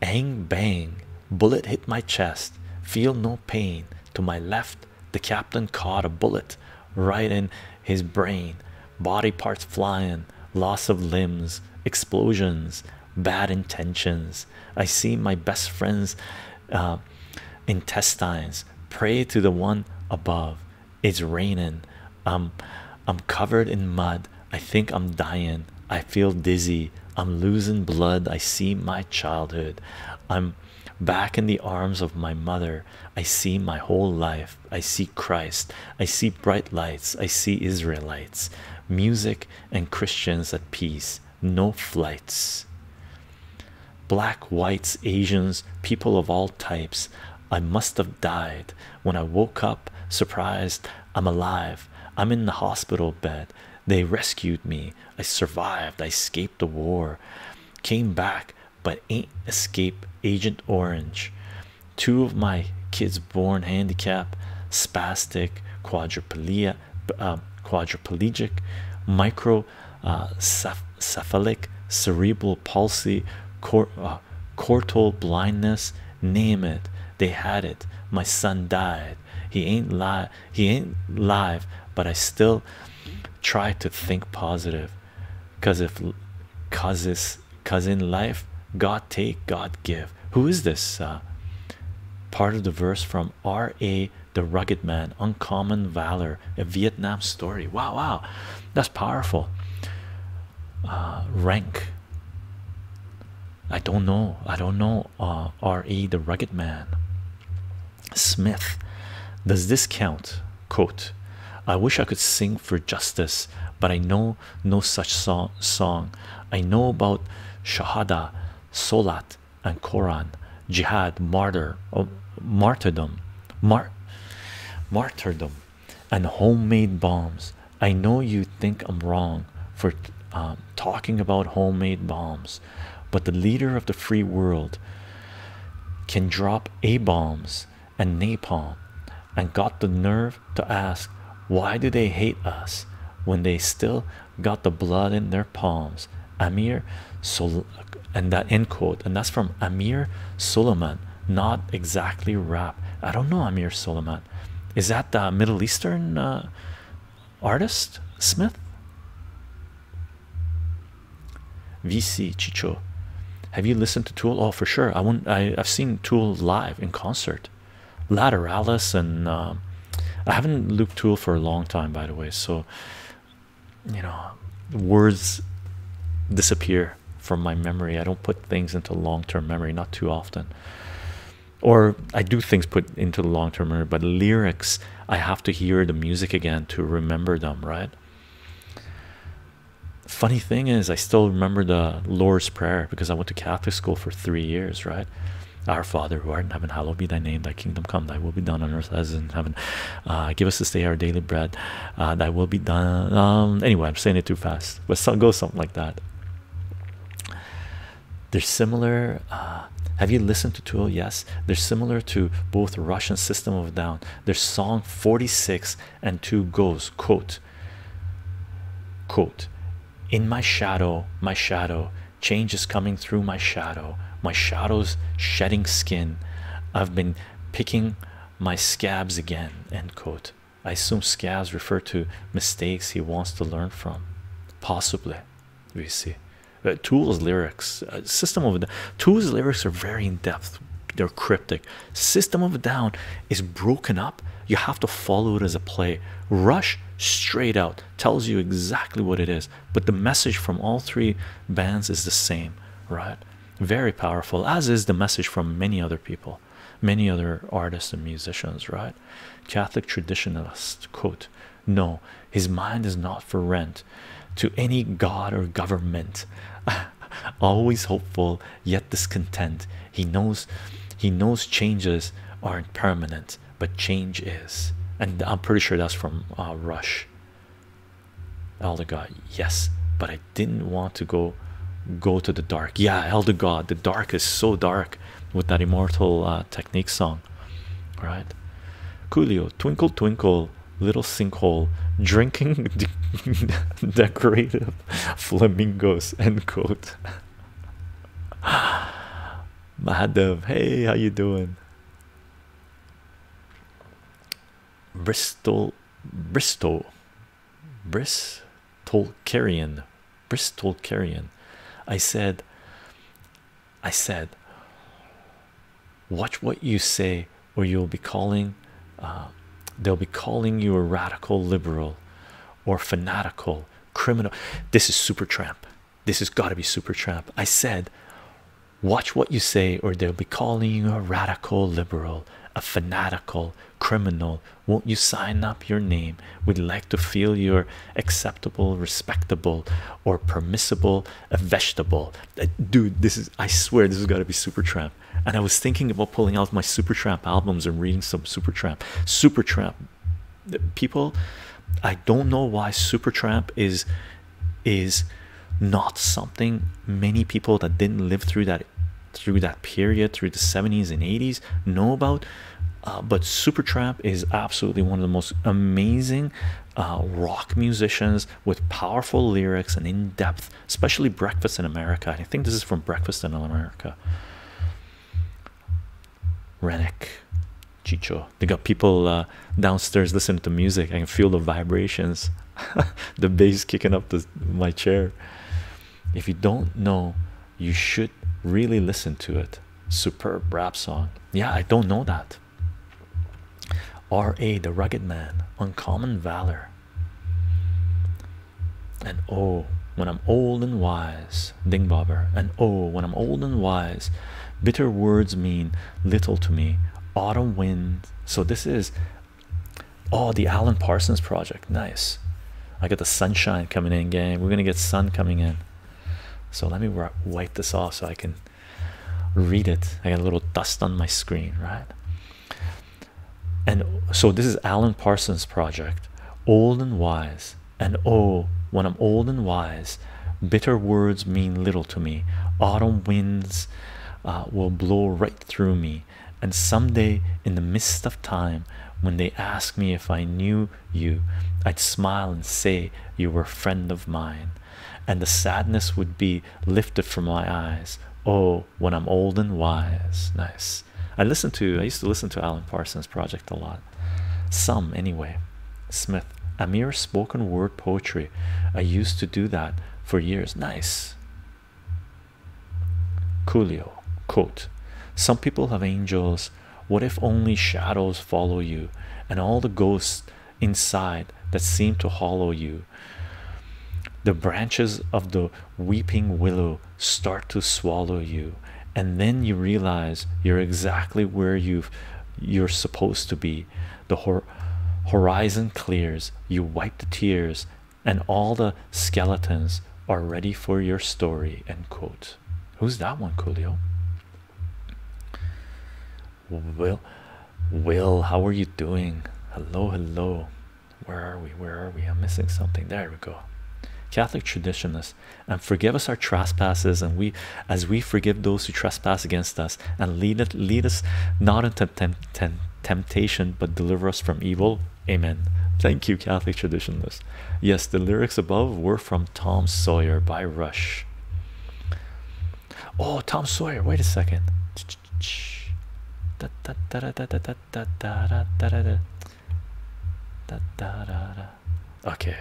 Ang bang. Bullet hit my chest. Feel no pain. To my left, the captain caught a bullet right in his brain, body parts flying, loss of limbs, explosions, bad intentions. I see my best friend's uh, intestines. Pray to the one above. It's raining. I'm, I'm covered in mud. I think I'm dying. I feel dizzy. I'm losing blood. I see my childhood. I'm back in the arms of my mother. I see my whole life. I see Christ. I see bright lights. I see Israelites, music, and Christians at peace. No flights. Black, whites, Asians, people of all types. I must have died when I woke up surprised. I'm alive. I'm in the hospital bed. They rescued me. I survived. I escaped the war. Came back but ain't escape Agent Orange. Two of my kids born handicap, spastic, quadriplegia, um, quadriplegic, microcephalic uh, cerebral palsy, cor uh, blindness. Name it. They had it. My son died. He ain't live. He ain't live. But I still try to think positive because if causes cause in life god take god give who is this uh, part of the verse from ra the rugged man uncommon valor a vietnam story wow wow that's powerful uh, rank i don't know i don't know uh, ra the rugged man Smith, does this count? Quote, I wish I could sing for justice, but I know no such song. song. I know about Shahada, Solat, and Koran, Jihad, Martyr, oh, Martyrdom, Mar Martyrdom, and homemade bombs. I know you think I'm wrong for um, talking about homemade bombs, but the leader of the free world can drop A bombs and napalm and got the nerve to ask why do they hate us when they still got the blood in their palms amir so and that end quote and that's from amir suleiman not exactly rap i don't know amir suleiman is that the middle eastern uh, artist smith VC Chicho, have you listened to Tool? Oh, for sure. I won't. I, have seen Tool live in concert. Lateralis and um, I haven't looked Tool for a long time, by the way. So you know, words disappear from my memory. I don't put things into long-term memory not too often. Or I do things put into long-term memory, but lyrics I have to hear the music again to remember them, right? Funny thing is, I still remember the Lord's Prayer because I went to Catholic school for three years, right? Our Father who art in heaven, hallowed be thy name, thy kingdom come, thy will be done on earth as in heaven. Uh, give us this day our daily bread, uh, thy will be done. Um, anyway, I'm saying it too fast, but some goes something like that. They're similar. Uh, have you listened to Tool? Yes, they're similar to both Russian system of down. Their song 46 and 2 goes, quote, quote, in my shadow, my shadow, change is coming through my shadow, my shadow's shedding skin. I've been picking my scabs again, end quote. I assume scabs refer to mistakes he wants to learn from, possibly. We see uh, tools lyrics uh, system of Two's lyrics are very in depth, they're cryptic. System of a Down is broken up, you have to follow it as a play. Rush straight out tells you exactly what it is, but the message from all three bands is the same, right? Very powerful, as is the message from many other people, many other artists and musicians, right? Catholic traditionalist quote. No, his mind is not for rent to any god or government always hopeful yet discontent he knows he knows changes aren't permanent but change is and i'm pretty sure that's from uh, rush elder god yes but i didn't want to go go to the dark yeah elder god the dark is so dark with that immortal uh, technique song right Julio, twinkle twinkle little sinkhole drinking decorative flamingos end quote Mahadev, hey how you doing Bristol Bristol Bristol Carrion Bristol Carrion I said I said watch what you say or you'll be calling uh, they'll be calling you a radical liberal or fanatical criminal this is super tramp this has got to be super tramp i said watch what you say or they'll be calling you a radical liberal a fanatical criminal won't you sign up your name we'd like to feel you're acceptable respectable or permissible a vegetable. Uh, dude, this is I swear this has got to be Supertramp. And I was thinking about pulling out my Supertramp albums and reading some Supertramp. Supertramp, people, I don't know why Supertramp is is not something many people that didn't live through that through that period through the 70s and 80s know about. Uh, but Supertramp is absolutely one of the most amazing uh, rock musicians with powerful lyrics and in depth, especially Breakfast in America. I think this is from Breakfast in America. Renick, Chicho. They got people uh, downstairs listening to music. I can feel the vibrations, the bass kicking up the, my chair. If you don't know, you should really listen to it. Superb rap song. Yeah, I don't know that. R.A. the Rugged Man, Uncommon Valor. And oh, when I'm old and wise, Dingbobber. And oh, when I'm old and wise, bitter words mean little to me. Autumn wind. So this is, oh, the Alan Parsons project. Nice. I got the sunshine coming in, gang. We're gonna get sun coming in. So let me wipe this off so I can read it. I got a little dust on my screen, right? And so this is Alan Parsons' project, old and wise. And oh, when I'm old and wise, bitter words mean little to me. Autumn winds uh, will blow right through me. And someday, in the midst of time, when they ask me if I knew you, I'd smile and say you were a friend of mine and the sadness would be lifted from my eyes. Oh, when I'm old and wise. Nice. I listened to, I used to listen to Alan Parsons Project a lot. Some, anyway. Smith, a mere spoken word poetry. I used to do that for years. Nice. Coolio, quote, some people have angels. What if only shadows follow you and all the ghosts inside that seem to hollow you the branches of the weeping willow start to swallow you, and then you realize you're exactly where you've you're supposed to be. The hor horizon clears, you wipe the tears, and all the skeletons are ready for your story. Who's that one, Julio? Will, Will, how are you doing? Hello, hello. Where are we? Where are we? I'm missing something. There we go. Catholic traditionists and forgive us our trespasses, and we, as we forgive those who trespass against us, and lead it, lead us not into temp temp temptation, but deliver us from evil. Amen. Thank you, Catholic traditionalists. Yes, the lyrics above were from Tom Sawyer by Rush. Oh, Tom Sawyer. Wait a second. Okay,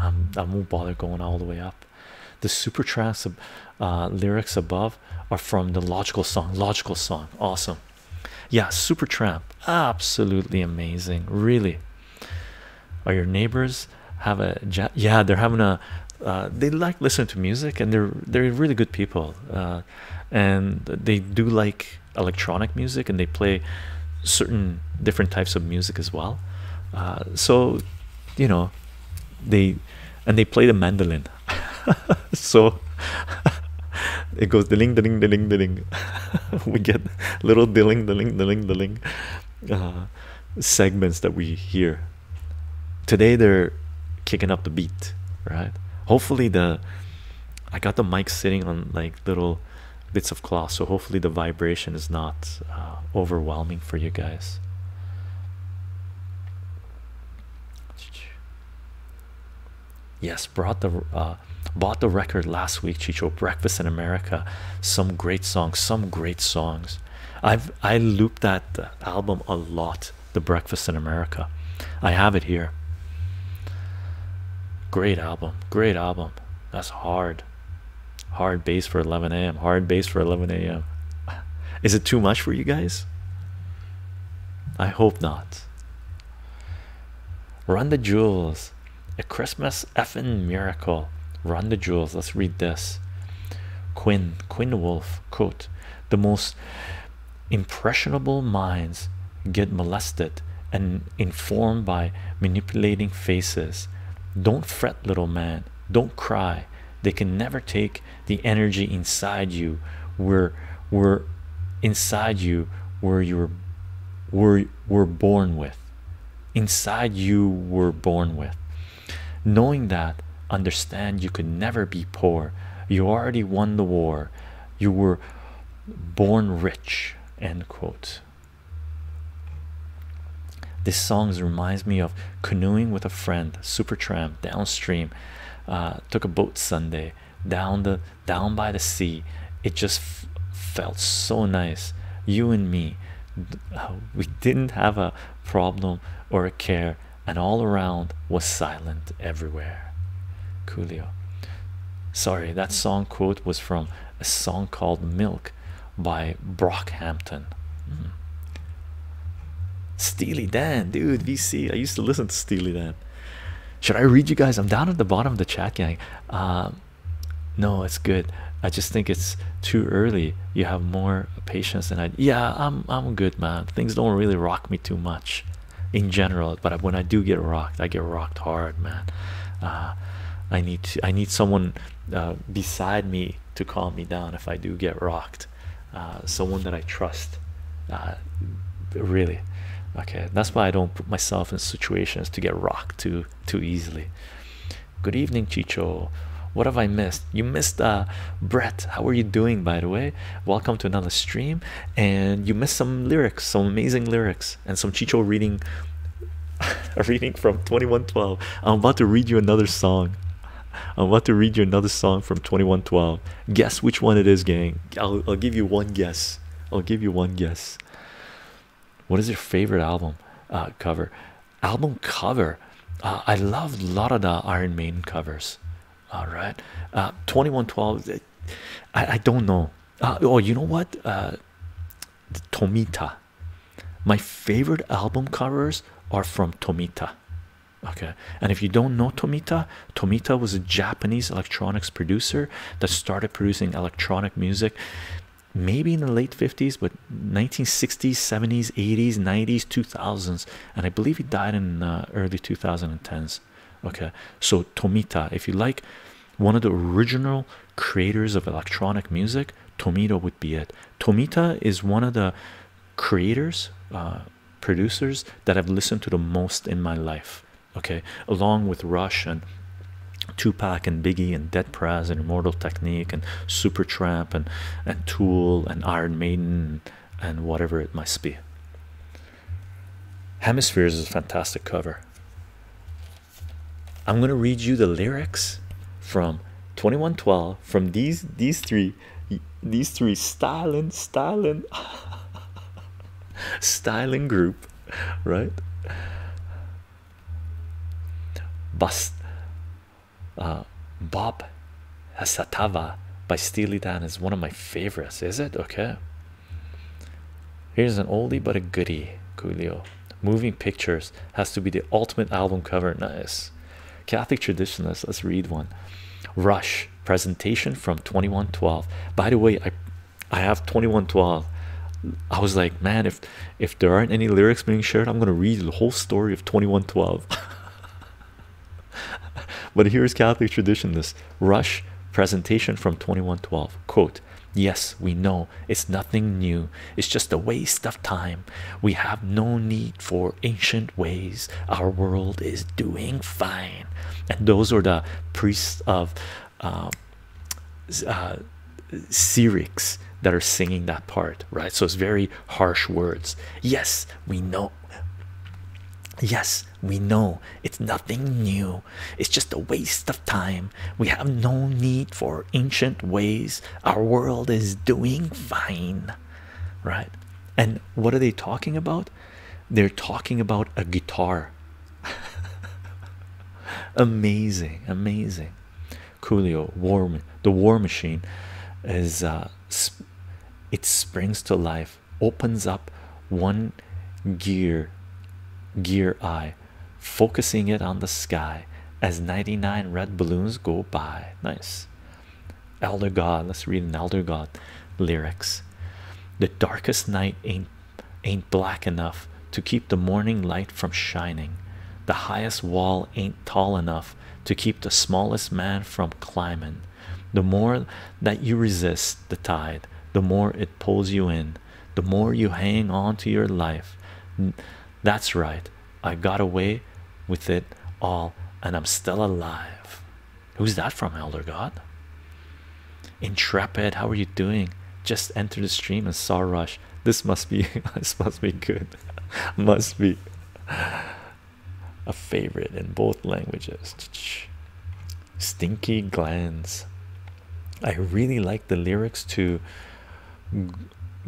I'm, I will not bother going all the way up. The super uh, lyrics above are from the logical song. Logical song, awesome. Yeah, super absolutely amazing. Really, are your neighbors have a yeah? They're having a uh, they like listening to music and they're they're really good people uh, and they do like electronic music and they play certain different types of music as well uh, so you know they and they play the mandolin so it goes the ling dilling ling dilling ling. we get little ling ling dilling ling dilling ling segments that we hear Today they're kicking up the beat, right? Hopefully the I got the mics sitting on like little bits of cloth, so hopefully the vibration is not uh, overwhelming for you guys. Yes, brought the uh, bought the record last week. She showed Breakfast in America, some great songs, some great songs. I've I looped that uh, album a lot the Breakfast in America. I have it here. Great album, great album. That's hard. Hard bass for 11 a.m. Hard bass for 11 a.m. Is it too much for you guys? I hope not. Run the Jewels, a Christmas effing miracle. Run the Jewels. Let's read this. Quinn, Quinn Wolf, quote, the most impressionable minds get molested and informed by manipulating faces don't fret little man don't cry they can never take the energy inside you where were inside you where you were were born with inside you were born with knowing that understand you could never be poor you already won the war you were born rich end quote this song reminds me of canoeing with a friend super tramp downstream uh, took a boat sunday down the down by the sea it just felt so nice you and me uh, we didn't have a problem or a care and all around was silent everywhere. Julio, Sorry, that song quote was from a song called Milk by Brockhampton. Mm. Steely Dan, dude, VC. I used to listen to Steely Dan. Should I read you guys? I'm down at the bottom of the chat gang. Um, no, it's good. I just think it's too early. You have more patience and i yeah i'm i'm good man things don't really rock me too much in general but when i do get rocked i get rocked hard man uh, i need to, i need someone uh, beside me to calm me down if i do get rocked uh, someone that i trust really okay that's why i don't put myself in situations to get rocked too too easily good evening chicho what have i missed you missed uh Brett. How are you doing by the way? Welcome to another stream. And you missed some lyrics, some amazing lyrics, and some Chicho reading a reading from 2112. I'm about to read you another song. I'm about to read you another song from 2112. Guess which one it is, gang. I'll, give you one guess. I'll give you one guess. What is your favorite album uh, cover? Album cover. Uh, I love a lot of the Iron Maiden covers all right uh 2112 uh, i i don't know uh, oh you know what uh tomita my favorite album covers are from tomita okay and if you don't know tomita tomita was a japanese electronics producer that started producing electronic music maybe in the late 50s but 1960s 70s 80s 90s 2000s and I believe he died in uh, early 2010s. Okay, so Tomita, if you like, one of the original creators of electronic music, Tomita would be it. Tomita is one of the creators, uh, producers that I've listened to the most in my life. Okay, along with Rush and Tupac and Biggie and Dead Prez and Immortal Technique and Supertramp and and Tool and Iron Maiden and whatever it must be. Hemispheres is a fantastic cover. I'm gonna read you the lyrics from 2112 from these these three these three styling styling styling group right Bust. Uh, Bob Hasatava by Steely Dan is one of my favorites. Is it okay? Here's an oldie but a goodie. Julio. Moving Pictures has to be the ultimate album cover. Nice. Catholic Traditionalist. Let's read one. Rush presentation from 2112. By the way, I I have 2112. I was like, man, if if there aren't any lyrics being shared, I'm gonna read the whole story of 2112. but here's Catholic tradition this rush presentation from 2112 quote yes we know it's nothing new it's just a waste of time we have no need for ancient ways our world is doing fine and those are the priests of um, uh, Syriacs that are singing that part right so it's very harsh words yes we know Yes, we know it's nothing new. It's just a waste of time. We have no need for ancient ways. Our world is doing fine. Right? And what are they talking about? They're talking about a guitar. amazing, amazing. Julio. War, the War Machine is uh, it springs to life opens up one gear gear eye focusing it on the sky as 99 red balloons go by nice elder god let's read an elder god lyrics the darkest night ain't ain't black enough to keep the morning light from shining the highest wall ain't tall enough to keep the smallest man from climbing the more that you resist the tide, the more it pulls you in. The more you hang on to your life. That's right. I got away with it all and I'm still alive. Who's that from, Elder God? Intrepid, how are you doing? Just entered the stream and saw Rush. This must be this must be good. must be a favorite in both languages. Stinky Glands. I really like the lyrics to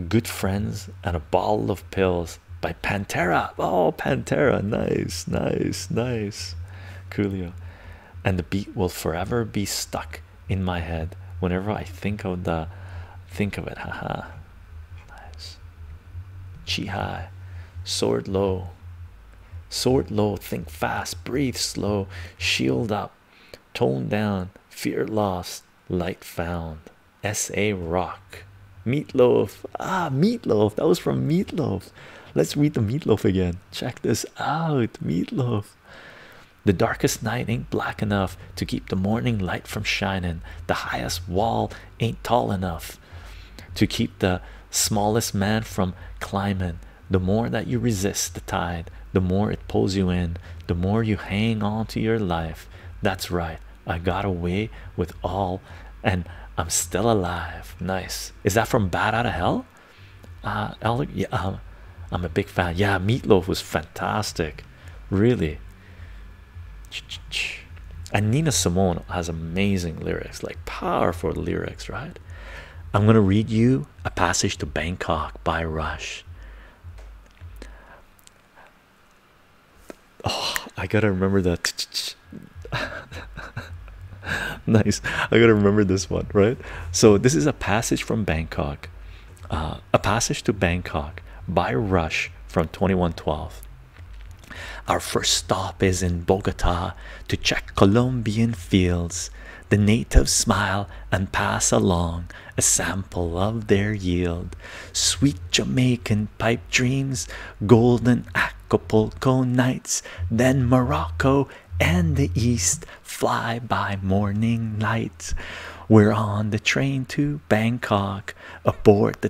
Good Friends and a Bottle of Pills by Pantera. Oh, Pantera. Nice, nice, nice. Coolio. And the beat will forever be stuck in my head whenever I think of the think of it. Haha. nice. Chi high, sword low, sword low, think fast, breathe slow, shield up, tone down, fear lost, light found. S.A. Rock, meatloaf. Ah, meatloaf, that was from meatloaf. Let's read the meatloaf again. Check this out, meatloaf. The darkest night ain't black enough to keep the morning light from shining. The highest wall ain't tall enough to keep the smallest man from climbing. The more that you resist the tide, the more it pulls you in, the more you hang on to your life. That's right. I got away with all and I'm still alive. Nice. Is that from Bad Out of Hell? Uh, Alec, yeah, um, I'm a big fan. Yeah, Meatloaf was fantastic. Really and Nina Simone has amazing lyrics, like powerful lyrics, right? I'm going to read you a passage to Bangkok by Rush. Oh, I got to remember that. nice. I got to remember this one, right? So, this is a passage from Bangkok, uh, a passage to Bangkok by Rush from 2112. Our first stop is in Bogota to check Colombian fields. The natives smile and pass along a sample of their yield. Sweet Jamaican pipe dreams, golden Acapulco nights, then Morocco and the East fly by morning light. We're on the train to Bangkok, aboard the.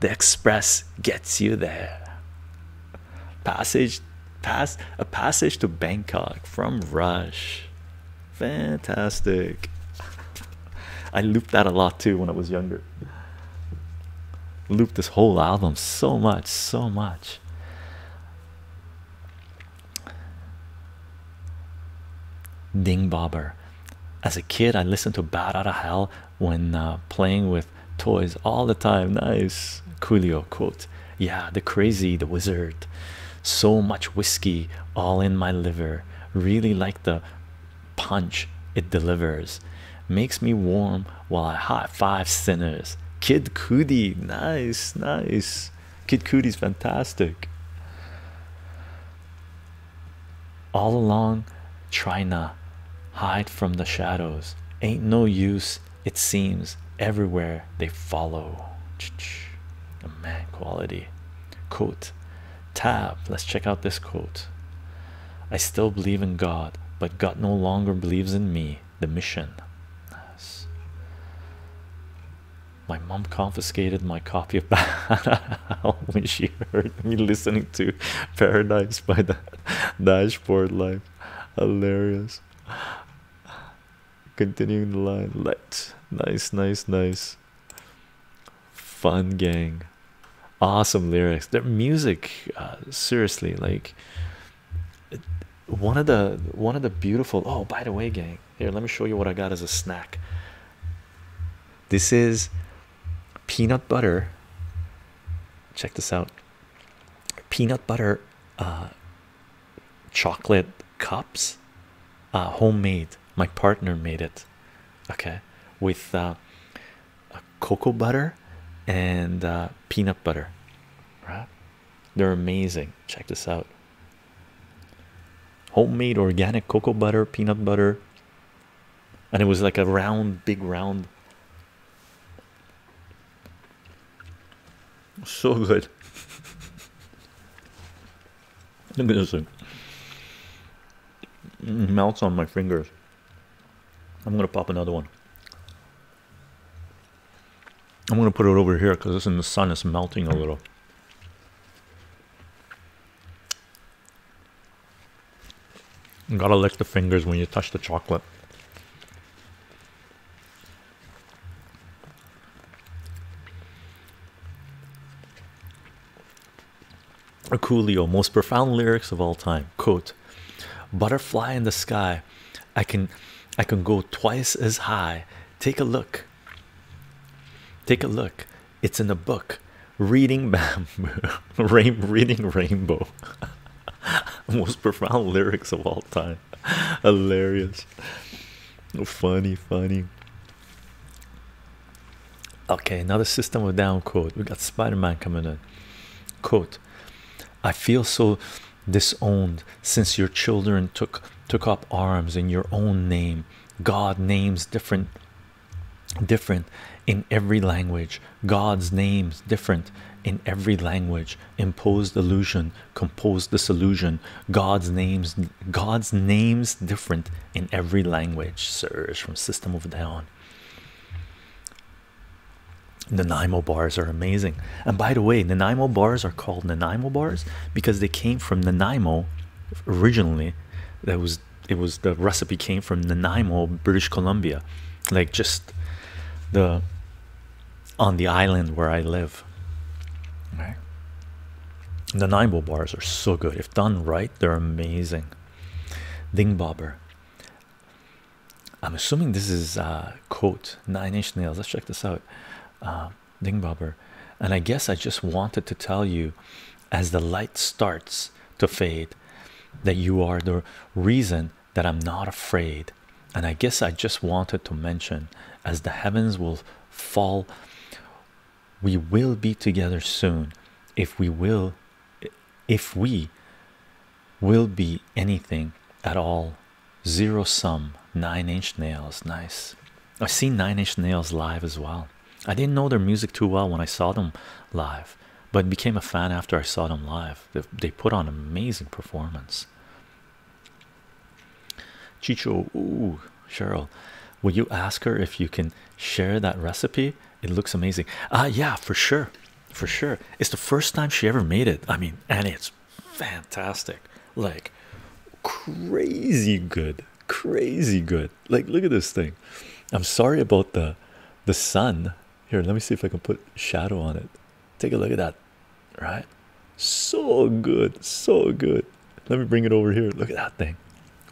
the express gets you there. Passage pass a passage to Bangkok from Rush. Fantastic. I looped that a lot too when I was younger. Looped this whole album so much, so much. Ding Bobber. As a kid, I listened to Bad Outta Hell when uh, playing with toys all the time. Nice Coolio quote. Yeah, the crazy, the wizard. So much whiskey all in my liver. Really like the punch it delivers. Makes me warm while I hot five sinners. Kid Kudi, nice, nice. Kid Cudi's fantastic all along trying to hide from the shadows ain't no use it seems everywhere they follow Ch -ch. man quality quote tab let's check out this quote i still believe in god but god no longer believes in me the mission nice. my mom confiscated my copy of howl when she heard me listening to Paradise by the Dashboard Live. Hilarious. Continuing the line. Let nice, nice, nice. Fun gang. Awesome lyrics. Their music, uh, seriously, like one of the one of the beautiful oh by the way gang here let me show you what i got as a snack this is peanut butter. Check this out peanut butter uh, chocolate cups, uh, homemade. My partner made it. Okay, with uh, cocoa butter and uh, peanut butter. Right? They're amazing. Check this out. Homemade organic cocoa butter, peanut butter, and it was like a round, big round. So good. Look at this melts on my fingers. I'm gonna pop another one. I'm gonna put it over here because this in the sun is melting a little gotta lick the fingers when you touch the chocolate. A most profound lyrics of all time. Quote Butterfly in the sky. I can I can go twice as high. Take a look. Take a look. It's in the book reading bamboo rain reading rainbow most profound lyrics of all time hilarious funny funny okay another system of down quote we got spider-man coming in quote i feel so disowned since your children took took up arms in your own name god names different different in every language god's names different in every language imposed illusion composed disillusion god's names god's names different in every language surge from system of The Naimo bars are amazing and by the way Naimo bars are called Naimo bars because they came from Naimo originally that was it was the recipe came from Nanaimo, British Columbia, like just the on the island where I live. Right. Nanaimo bars are so good. If done right, they're amazing. Ding bobber. I'm assuming this is uh, quote nine inch nails. Let's check this out. Uh, Ding bobber. And I guess I just wanted to tell you as the light starts to fade that you are the reason that I'm not afraid. And I guess I just wanted to mention as the heavens will fall, we will be together soon. If we will, if we will be anything at all, zero sum, nine inch nails. Nice. I've seen nine inch nails live as well. I didn't know their music too well when I saw them live, but became a fan after I saw them live. They, put on an amazing performance. Chicho, ooh, Cheryl, will you ask her if you can share that recipe? It looks amazing. Ah, uh, yeah, for sure, for sure. It's the first time she ever made it. I mean, and it's fantastic, like crazy good, crazy good. Like look at this thing. I'm sorry about the the sun. Here, let me see if I can put shadow on it. Take a look at that. Right? So good. So good. Let me bring it over here. Look at that thing.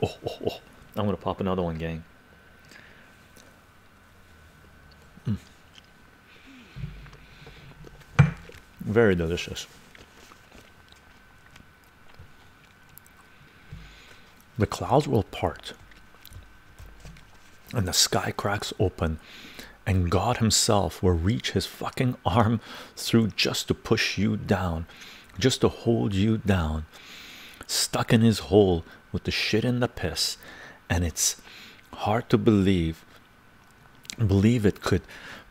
Oh, oh, oh. I'm gonna pop another one, gang. Hmm. Very delicious. The clouds will part, and the sky cracks open, and God Himself will reach His fucking arm through just to push you down, just to hold you down, stuck in His hole with the shit and the piss. And it's hard to believe, believe it could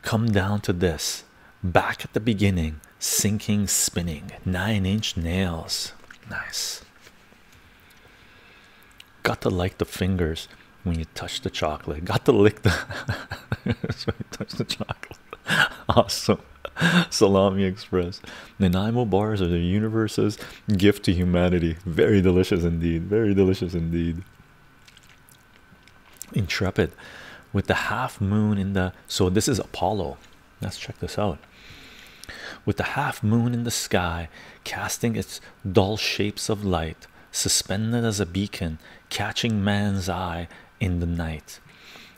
come down to this back at the beginning, sinking, spinning, nine inch nails. Nice. Got to like the fingers when you touch the chocolate. Got to lick the when you touch the chocolate. Awesome. Salami Express. Nanaimo bars are the universe's gift to humanity. Very delicious indeed. Very delicious indeed. Intrepid with the half moon in the so this is Apollo Let's check this out. With the half moon in the sky casting its dull shapes of light, suspended as a beacon, catching man's eye in the night,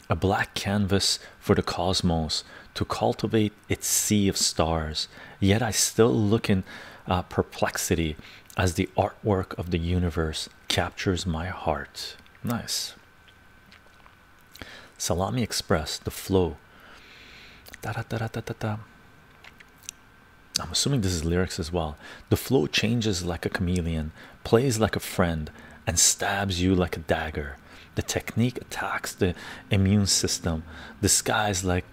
a black canvas for the cosmos to cultivate its sea of stars. Yet I still look in uh, perplexity as the artwork of the universe captures my heart. Nice. Salami Express, the flow. Da, da, da, da, da, da. I'm assuming this is lyrics as well. The flow changes like a chameleon, plays like a friend, and stabs you like a dagger. The technique attacks the immune system, disguised like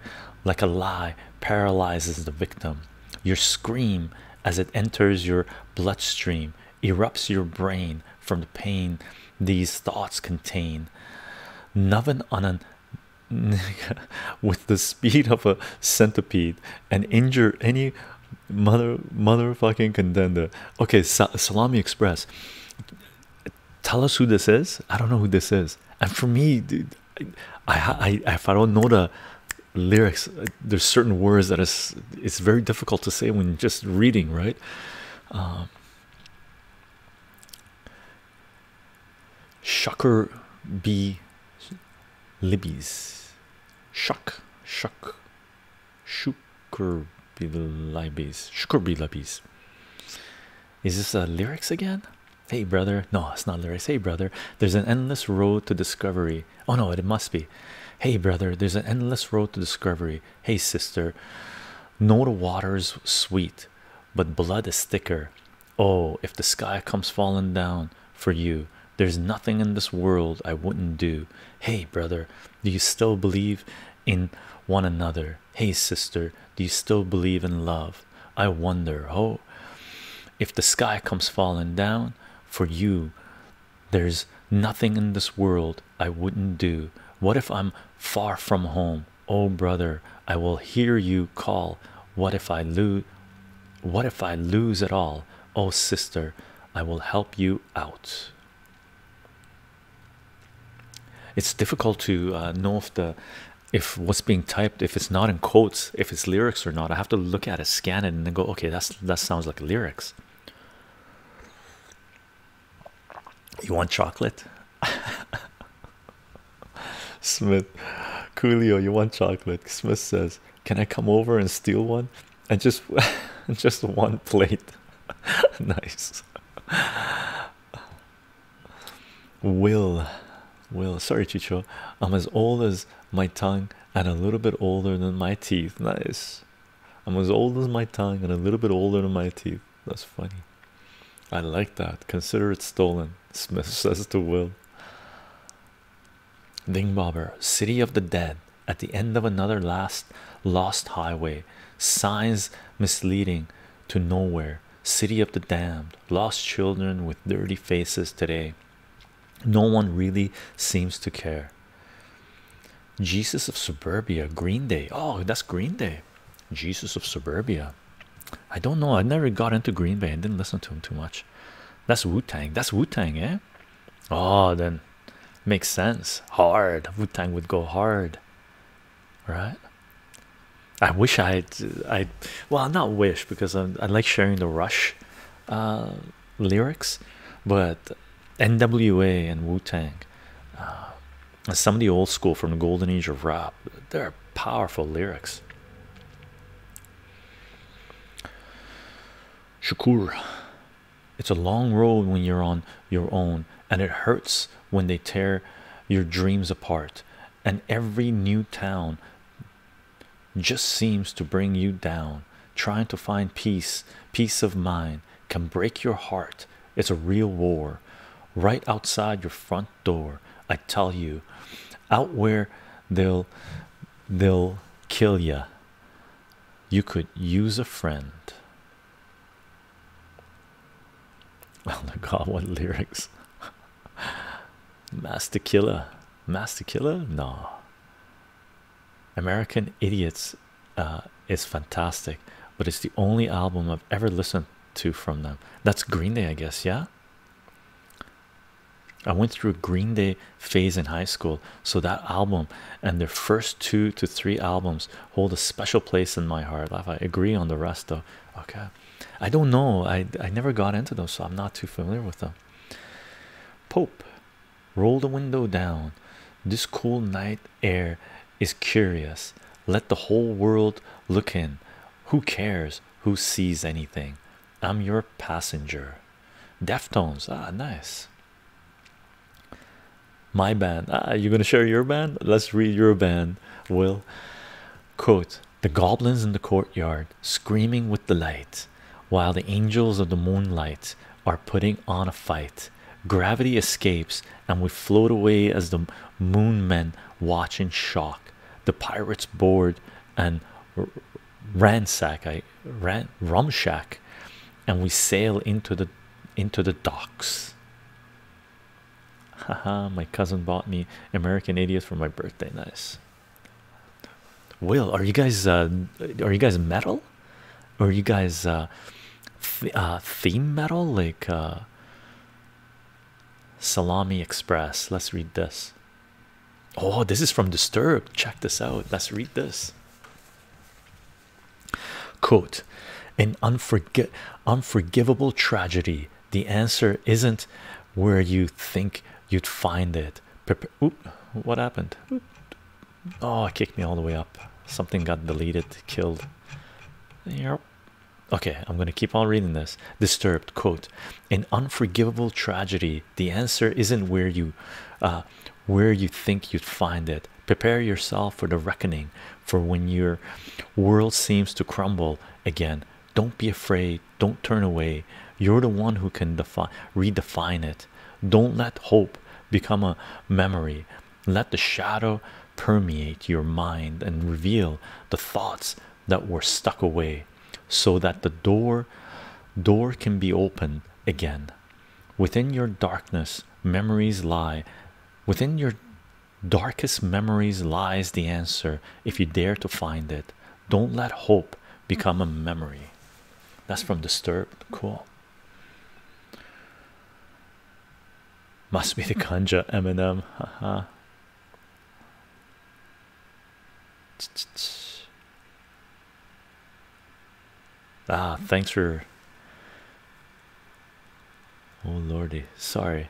like a lie, paralyzes the victim. Your scream as it enters your bloodstream erupts your brain from the pain these thoughts contain. Nothing on an with the speed of a centipede and injure any mother motherfucking contender. Okay, Sa Salami Express. Tell us who this is. I don't know who this is. And for me, dude, I, I if I don't know the lyrics, uh, there's certain words that is it's very difficult to say when just reading, right? Um, Shucker be Libby's Shuck Shuck Shucker B. Libby's Shucker B. Libby's. Is this uh, lyrics again? Hey brother, no, it's not lyrics. Hey brother, there's an endless road to discovery. Oh no, it must be. Hey brother, there's an endless road to discovery. Hey, sister, no, the water's sweet, but blood is thicker. Oh, if the sky comes falling down for you, there's nothing in this world I wouldn't do. Hey, brother, do you still believe in one another? Hey, sister, do you still believe in love? I wonder, oh, if the sky comes falling down for you, there's nothing in this world I wouldn't do. What if I'm far from home? Oh, brother, I will hear you call. What if I lose? What if I lose it all? Oh, sister, I will help you out. It's difficult to uh, know if the if what's being typed if it's not in quotes if it's lyrics or not i have to look at it scan it and then go okay that's that sounds like lyrics you want chocolate? Smith Coolio, you want chocolate? Smith says, Can I come over and steal one? And just just one plate. nice. Will Will sorry Chicho. I'm as old as my tongue and a little bit older than my teeth. Nice. I'm as old as my tongue and a little bit older than my teeth. That's funny. I like that. Consider it stolen, Smith says to Will. Dingbobber, City of the Dead, at the end of another last lost highway. Signs misleading to nowhere. City of the damned, lost children with dirty faces today. No one really seems to care. Jesus of Suburbia, Green Day. Oh, that's Green Day. Jesus of Suburbia. I don't know. I never got into Green Bay and didn't listen to him too much. That's Wu Tang. That's Wu Tang, eh? Oh, then makes sense. Hard. Wu Tang would go hard, right? I wish I, would I, well, not wish because I, like sharing the Rush uh, lyrics, but NWA and Wu Tang. Uh, some of the old school from the golden age of rap. They're powerful lyrics. Shakur, it's a long road when you're on your own, and it hurts when they tear your dreams apart. And every new town just seems to bring you down. Trying to find peace, peace of mind can break your heart. It's a real war right outside your front door. I tell you, out where they'll they'll kill you. You could use a friend. Oh my god, what lyrics! Master killer, master killer, no. American idiots uh, is fantastic, but it's the only album I've ever listened to from them. That's Green Day, I guess. Yeah, I went through a Green Day phase in high school, so that album and their first two to three albums hold a special place in my heart. I agree on the rest, though. Okay, I don't know. I I never got into them, so I'm not too familiar with them. Pope, roll the window down. This cool night air is curious. Let the whole world look in. Who cares who sees anything? I'm your passenger. Deftones, ah, nice. My band, ah, you gonna share your band? Let's read your band, Will. Quote The goblins in the courtyard screaming with delight, while the angels of the moonlight are putting on a fight gravity escapes and we float away as the moon men watch in shock the pirates board and ransack i ran rumshack and we sail into the into the docks haha my cousin bought me american idiot for my birthday nice will are you guys uh, are you guys metal or are you guys uh, uh, theme metal like uh, Salami Express. Let's read this. Oh, this is from Disturbed. Check this out. Let's read this. Quote An unforg unforgivable tragedy. The answer isn't where you think you'd find it. Oop, what happened? Oh, kicked me all the way up. Something got deleted, killed. Yep. Okay, I'm going to keep on reading this. Disturbed quote: "An unforgivable tragedy. The answer isn't where you, uh, where you think you'd find it. Prepare yourself for the reckoning. For when your world seems to crumble again, don't be afraid. Don't turn away. You're the one who can define, redefine it. Don't let hope become a memory. Let the shadow permeate your mind and reveal the thoughts that were stuck away so that the door door can be opened again within your darkness memories lie within your darkest memories lies the answer if you dare to find it don't let hope become a memory that's from disturbed cool must be the ganja, Eminem. Ha ha. ah, thanks for. Oh lordy, sorry.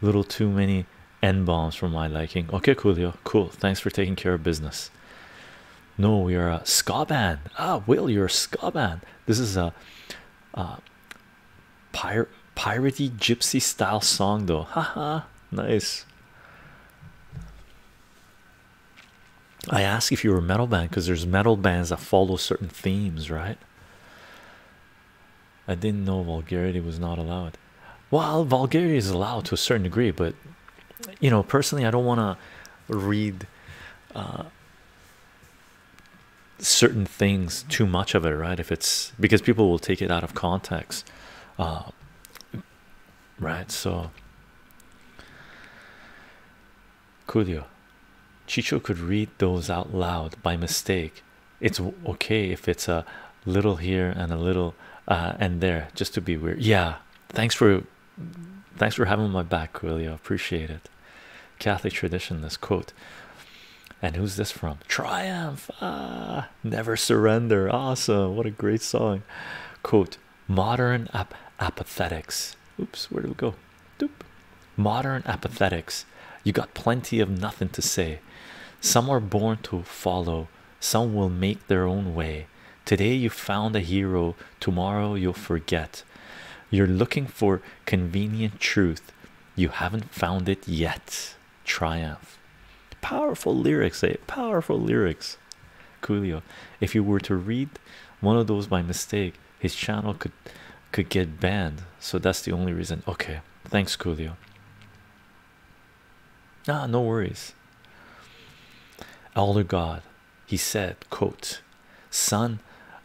Little too many N bombs for my liking. Okay, Coolio. Cool. Thanks for taking care of business. No, we are a ska band. Ah, Will, you're a ska band. This is a Pir piratey gypsy style song though. Haha, uh-huh. nice. I asked if you were a metal band because there's metal bands that follow certain themes, right? I didn't know vulgarity was not allowed. Well, vulgarity is allowed to a certain degree, but you know, personally, I don't want to read uh, certain things too much of it right if it's because people will take it out of context uh, right so Coolio Chicho could read those out loud by mistake it's okay if it's a little here and a little uh, and there just to be weird yeah thanks for thanks for having my back Coolio appreciate it Catholic tradition. This quote, and who's this from? Triumph, ah, never surrender. Awesome, what a great song. Quote, modern apathetics. Oops, where do we go? Doop. Modern apathetics. You got plenty of nothing to say. Some are born to follow, some will make their own way. Today you found a hero, tomorrow you'll forget. You're looking for convenient truth. You haven't found it yet. Triumph. Powerful lyrics, eh? Powerful lyrics. Julio. If you were to read one of those by mistake, his channel could could get banned. So that's the only reason. Okay. Thanks, Julio. Ah, no worries. Elder God, he said, quote, Son,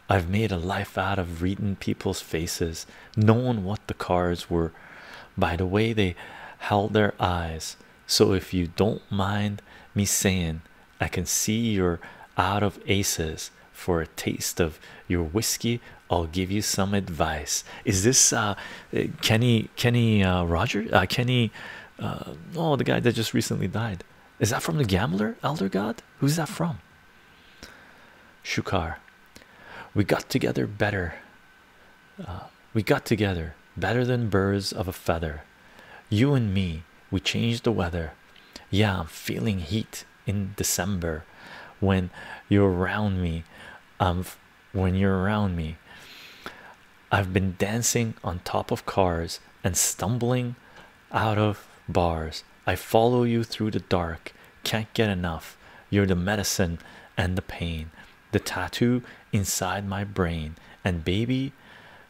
I've made a life out of reading people's faces, knowing what the cards were by the way they held their eyes. So, if you don't mind me saying, I can see you're out of aces. For a taste of your whiskey, I'll give you some advice. Is this uh, Kenny Kenny uh, Roger? Uh, Kenny, uh, oh, the guy that just recently died. Is that from the Gambler, Elder God? Who's that from? Shukar, we got together better. Uh, we got together better than birds of a feather. You and me, we changed the weather. Yeah, I'm feeling heat in December. When you're around me, um, when you're around me, I've been dancing on top of cars and stumbling out of bars. I follow you through the dark, can't get enough. You're the medicine and the pain, the tattoo inside my brain. And baby,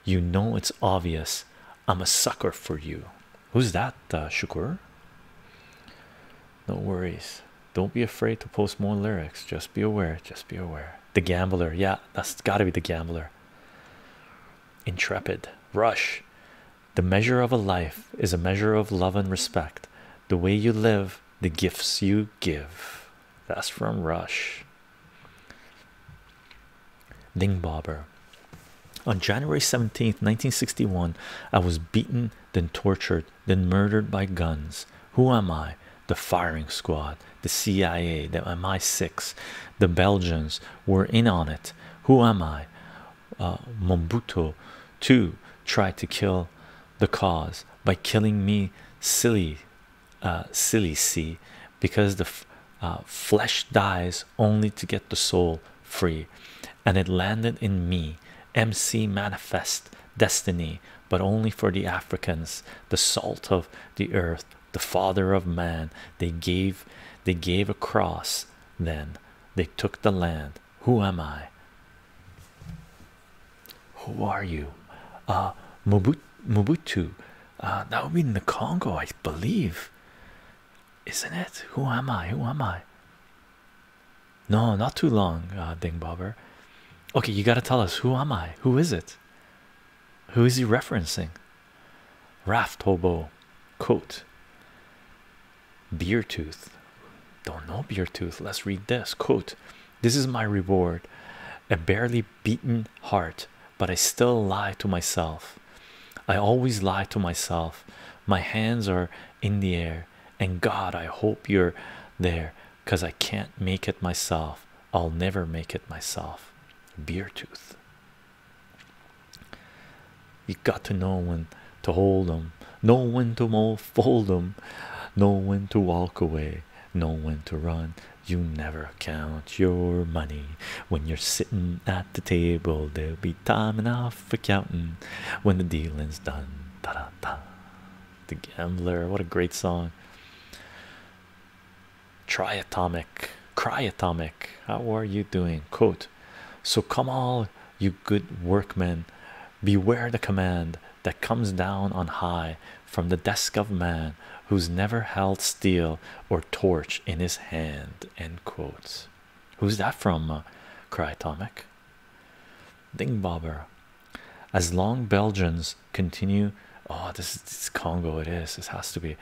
you know it's obvious. I'm a sucker for you. Who's that, uh, Shukur? No worries. Don't be afraid to post more lyrics. Just be aware. Just be aware. The Gambler. Yeah, that's got to be the Gambler. Intrepid. Rush. The measure of a life is a measure of love and respect. The way you live, the gifts you give. That's from Rush. Ding Bobber. On January 17th, 1961, I was beaten, then tortured, then murdered by guns. Who am I? The firing squad, the CIA, the MI6, the Belgians were in on it. Who am I? Uh, Mombuto too tried to kill the cause by killing me silly uh, silly see because the uh, flesh dies only to get the soul free and it landed in me MC manifest destiny but only for the Africans the salt of the earth the father of man they gave they gave a cross then they took the land. Who am I? Who are you? Ah, Mobutu. Mobutu. Uh, that would be in the Congo, I believe. Isn't it? Who am I? Who am I? No, not too long, uh, Ding Bobber. Okay, you gotta tell us who am I? Who is it? Who is he referencing? Raft hobo coat. Beartooth. Don't know Beartooth. Let's read this quote. This is my reward. A barely beaten heart, but I still lie to myself. I always lie to myself. My hands are in the air, and God, I hope you're there because I can't make it myself. I'll never make it myself. Beartooth. You got to know when to hold 'em, know when to fold them, know when to walk away, know when to run. You never count your money when you're sitting at the table. There'll be time enough for counting when the dealing's done. Da da da. The Gambler, what a great song. Triatomic, cryatomic. How are you doing? Coat, so come all you good workmen, beware the command that comes down on high from the desk of man who's never held steel or torch in his hand. End quotes. Who's that from? Uh, cried Ding Dingbobber. As long Belgians continue, oh, this is Congo. It is. This has to be.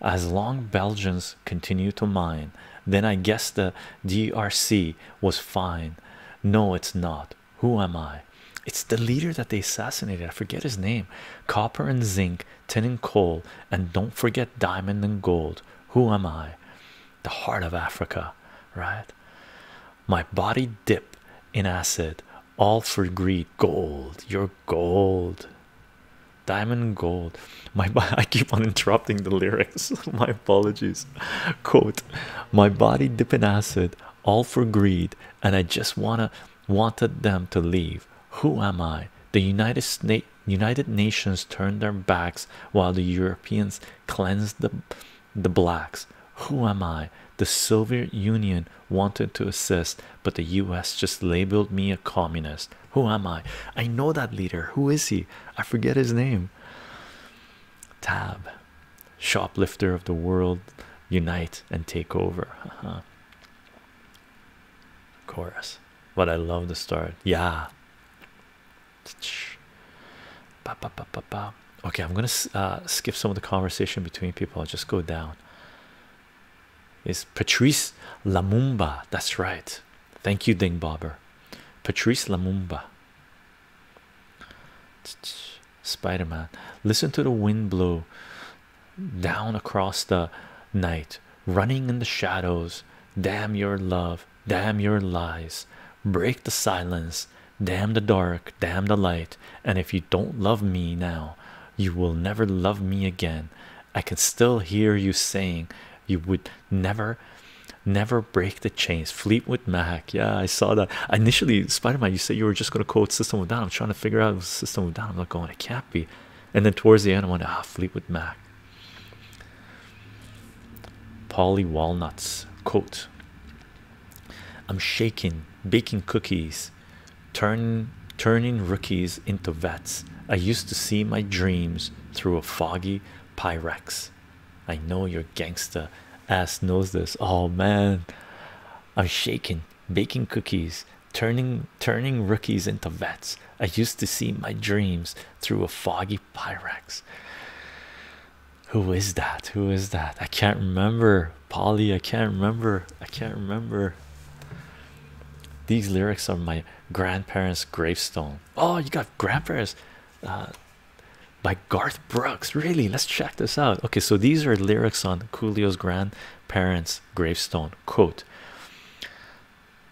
As long Belgians continue to mine then i guess the drc was fine no it's not who am i it's the leader that they assassinated i forget his name copper and zinc tin and coal and don't forget diamond and gold who am i the heart of africa right my body dip in acid all for greed gold your gold Diamond gold. My I keep on interrupting the lyrics. My apologies. My body dip in acid, all for greed, and I just wanna wanted them to leave. Who am I? The United States, United Nations turned their backs while the Europeans cleansed the the blacks. Who am I? The Soviet Union wanted to assist, but the U.S. just labeled me a communist. Who am I? I know that leader. Who is he? I forget his name. Tab, shoplifter of the world, unite and take over. Uh Chorus, What I love the start. Yeah. Okay, I'm gonna uh, skip some of the conversation between people. just go down. Is Patrice Lamumba? That's right. Thank you, Ding Patrice Lumumba. Spider Man. Listen to the wind blow down across the night, running in the shadows. Damn your love, damn your lies. Break the silence, damn the dark, damn the light. And if you don't love me now, you will never love me again. I can still hear you saying you would never never break the chains fleetwood mac yeah i saw that initially spider-man you said you were just going to quote system of down i'm trying to figure out system of down i'm not going it can't be and then towards the end i went ah fleetwood mac Polly walnuts coat i'm shaking baking cookies turn turning rookies into vets i used to see my dreams through a foggy Pyrex. I know your gangsta ass knows this. Oh man, I'm shaking, baking cookies, turning turning rookies into vets. I used to see my dreams through a foggy Pyrex. Who is that? Who is that? I can't remember, Polly. I can't remember. I can't remember. These lyrics are my grandparents' gravestone. Oh, you got Grandpa's uh, by Garth Brooks. Really? Let's check this out. Okay, so these are lyrics on Coolio's grandparents' gravestone. Quote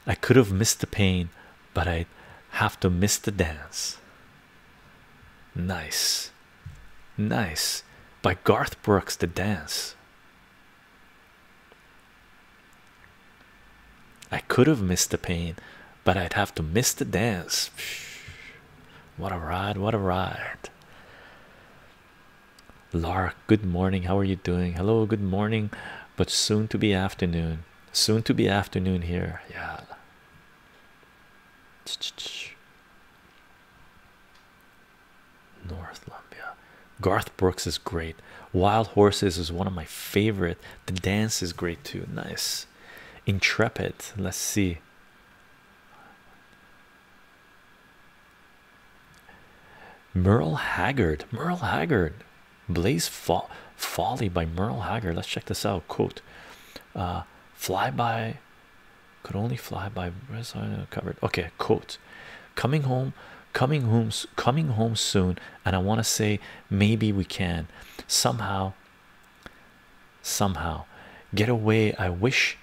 I could have missed the pain, but I have to miss the dance. Nice. Nice. By Garth Brooks, the dance. I could have missed the pain, but I'd have to miss the dance. What a ride, what a ride. Lark, good morning. How are you doing? Hello, good morning, but soon to be afternoon. Soon to be afternoon here. Yeah. North Lumbia. Garth Brooks is great. Wild Horses is one of my favorite. The Dance is great too. Nice. Intrepid. Let's see. Merle Haggard. Merle Haggard. Blaze Fo Folly by Merle Haggard. Let's check this out. Quote. Uh, fly by. Could only fly by. Where's I covered? Okay. Quote. Coming home. Coming home. Coming home soon and I want to say maybe we can somehow somehow get away. I wish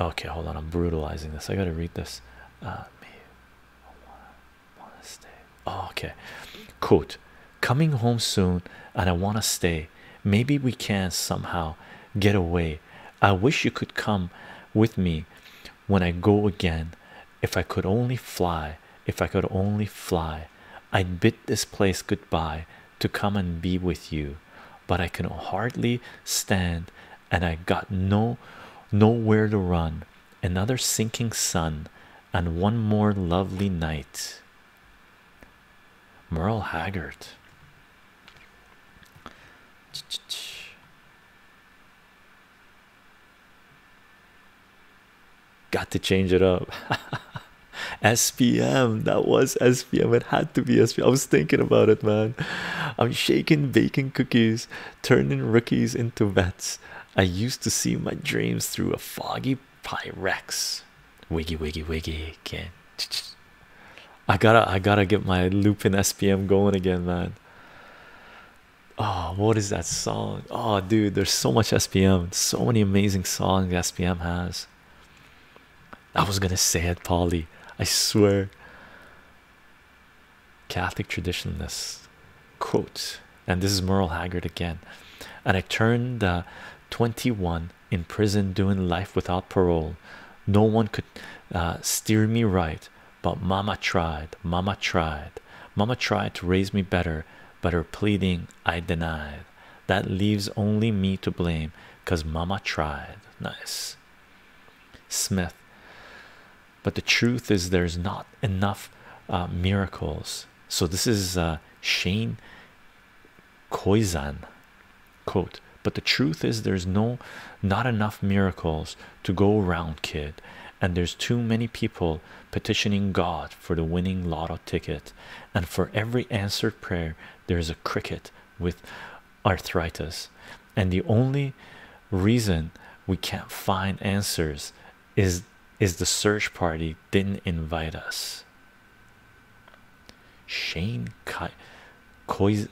okay, hold on. I'm brutalizing this. I gotta read this. Uh, I want to stay. Oh, okay, quote coming home soon, and I want to stay. Maybe we can somehow get away. I wish you could come with me when I go again if I could only fly, if I could only fly, I'd bid this place good goodbye to come and be with you, but I can hardly stand, and I got no nowhere to run. Another sinking sun, and one more lovely night. Merle Haggard. Got to change it up. SPM, that was SPM. It had to be SPM. I was thinking about it, man. I'm shaking baking cookies, turning rookies into vets. I used to see my dreams through a foggy Pyrex. Wiggy, wiggy, wiggy. Again. I gotta, I gotta get my looping SPM going again, man oh what is that song oh dude there's so much spm so many amazing songs spm has i was gonna say it polly i swear catholic traditionalist quote and this is merle haggard again and i turned uh, 21 in prison doing life without parole no one could uh, steer me right but mama tried mama tried Mama tried to raise me better, but her pleading I denied. That leaves only me to blame because Mama tried. Nice. Smith. But the truth is, there's not enough uh, miracles. So this is uh, Shane Koizan quote. But the truth is, there's no, not enough miracles to go around, kid, and there's too many people petitioning God for the winning lotto ticket, and for every answered prayer, there is a cricket with arthritis. And the only reason we can't find answers is is the search party didn't invite us. Shane Kai Koizan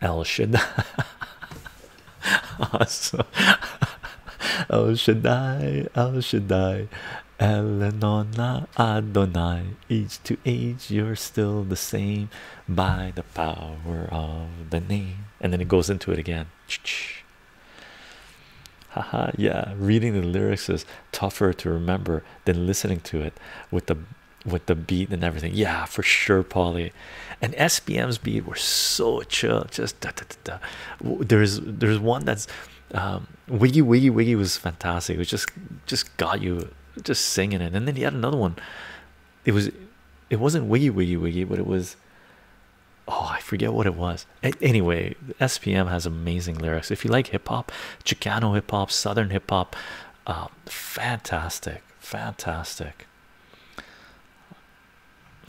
El Shaddai, awesome. El Shaddai, El Shaddai, Elenona Adonai. Age to age, you're still the same by the power of the name. And then it goes into it again. Haha, yeah, reading the lyrics is tougher to remember than listening to it with the with the beat and everything. Yeah, for sure, Polly. And SBM's beat were so chill. Just da, da, da, da. there's there's one that's um, Wiggy Wiggy Wiggy was fantastic. It was just just got you just singing it. And then he had another one. It was it wasn't Wiggy Wiggy Wiggy, but it was oh I forget what it was. anyway, SPM has amazing lyrics. If you like hip hop, Chicano hip hop, Southern hip hop, uh, fantastic fantastic,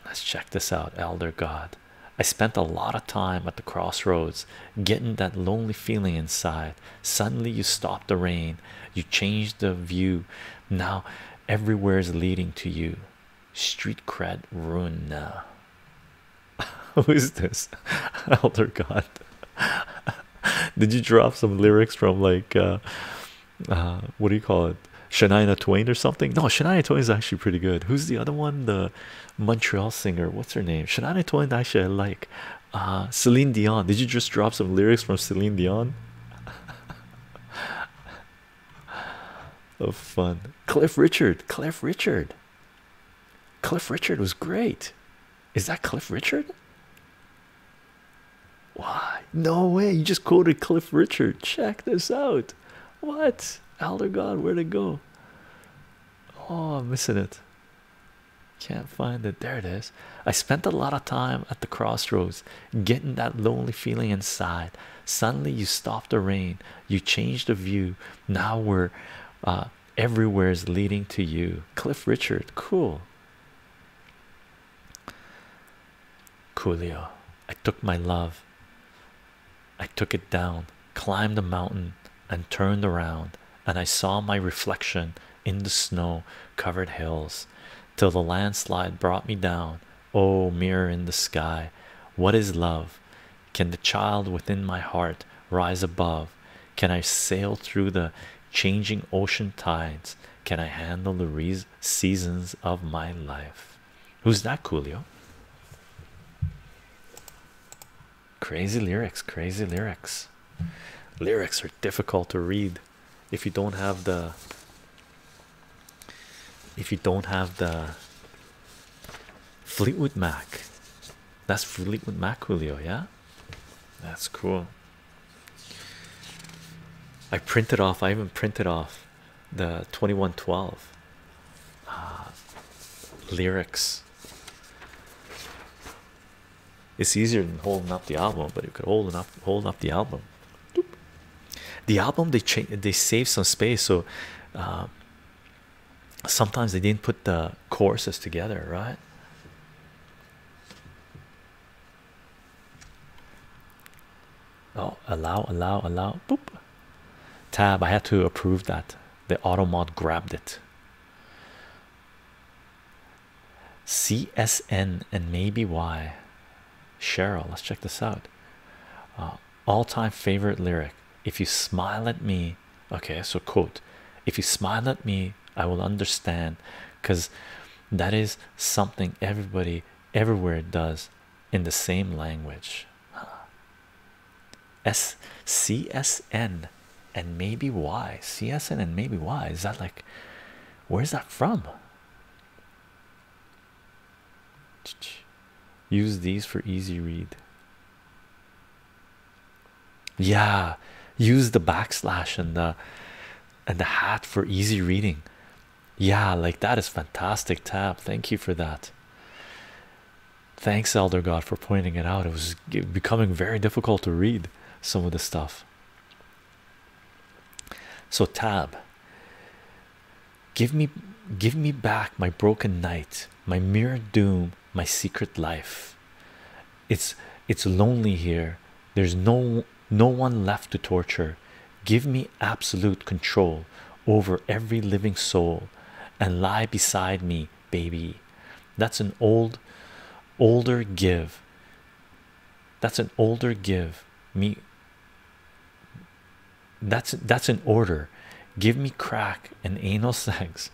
Let's check this out, Elder God. I spent a lot of time at the crossroads getting that lonely feeling inside. Suddenly, you stop the rain, you change the view. Now, everywhere is leading to you. Street cred ruin. Who is this, Elder God? Did you drop some lyrics from like uh, uh, what do you call it? Shania Twain or something? No, Shania Twain is actually pretty good. Who's the other one? The Montreal singer. What's her name? Shania Twain. Actually, I like. Uh, Celine Dion. Did you just drop some lyrics from Celine Dion? of oh, fun. Cliff Richard. Cliff Richard. Cliff Richard was great. Is that Cliff Richard? Why? No way. You just quoted Cliff Richard. Check this out. What? Elder God, where'd it go? Oh, I'm missing it. Can't find it. There it is. I spent a lot of time at the crossroads getting that lonely feeling inside. Suddenly, you stop the rain, you change the view. Now we're uh, everywhere is leading to you. Cliff Richard, cool. Coolio, I took my love, I took it down, climbed the mountain, and turned around, and I saw my reflection in the snow covered hills till the landslide brought me down. Oh, mirror in the sky, what is love? Can the child within my heart rise above? Can I sail through the changing ocean tides? Can I handle the seasons of my life? Who's that, Coolio? Crazy lyrics, crazy lyrics. Lyrics are difficult to read if you don't have the if you don't have the Fleetwood Mac. That's Fleetwood Mac, Coolio, yeah. That's cool. I printed off, I even printed off the 2112 uh, lyrics. It's easier than holding up the album, but you could hold up, hold up the album. The album they changed, they saved some space, so uh, sometimes they didn't put the courses together, right? Oh, allow, allow, allow. Boop. Tab. I had to approve that. The auto mod grabbed it. CSN and maybe Y. Cheryl, let's check this out. Uh, all-time favorite lyric. If you smile at me, okay. So quote. If you smile at me, i will understand because that is something everybody everywhere does in the same language S C S N, and maybe why csn and maybe why is that like where's that from use these for easy read yeah use the backslash and the and the hat for easy reading. Yeah, like that is fantastic. Tab, thank you for that. Thanks, Elder God, for pointing it out. It was becoming very difficult to read some of the stuff. So, Tab, give me, give me back my broken night, my mere doom, my secret life. It's it's lonely here there's no no one left to torture give me absolute control over every living soul and lie beside me baby that's an old older give that's an older give me that's that's an order give me crack and anal sex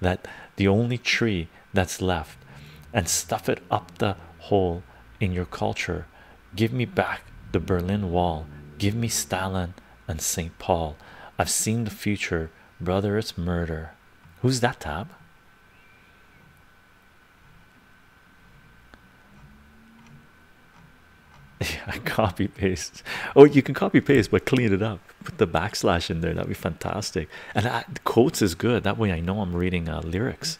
that the only tree that's left and stuff it up the hole in your culture. Give me back the Berlin Wall. Give me Stalin and St. Paul. I've seen the future, brother. It's murder. Who's that tab? Yeah, copy paste. Oh, you can copy paste, but clean it up. Put the backslash in there. That'd be fantastic. And I, quotes is good. That way, I know I'm reading uh, lyrics.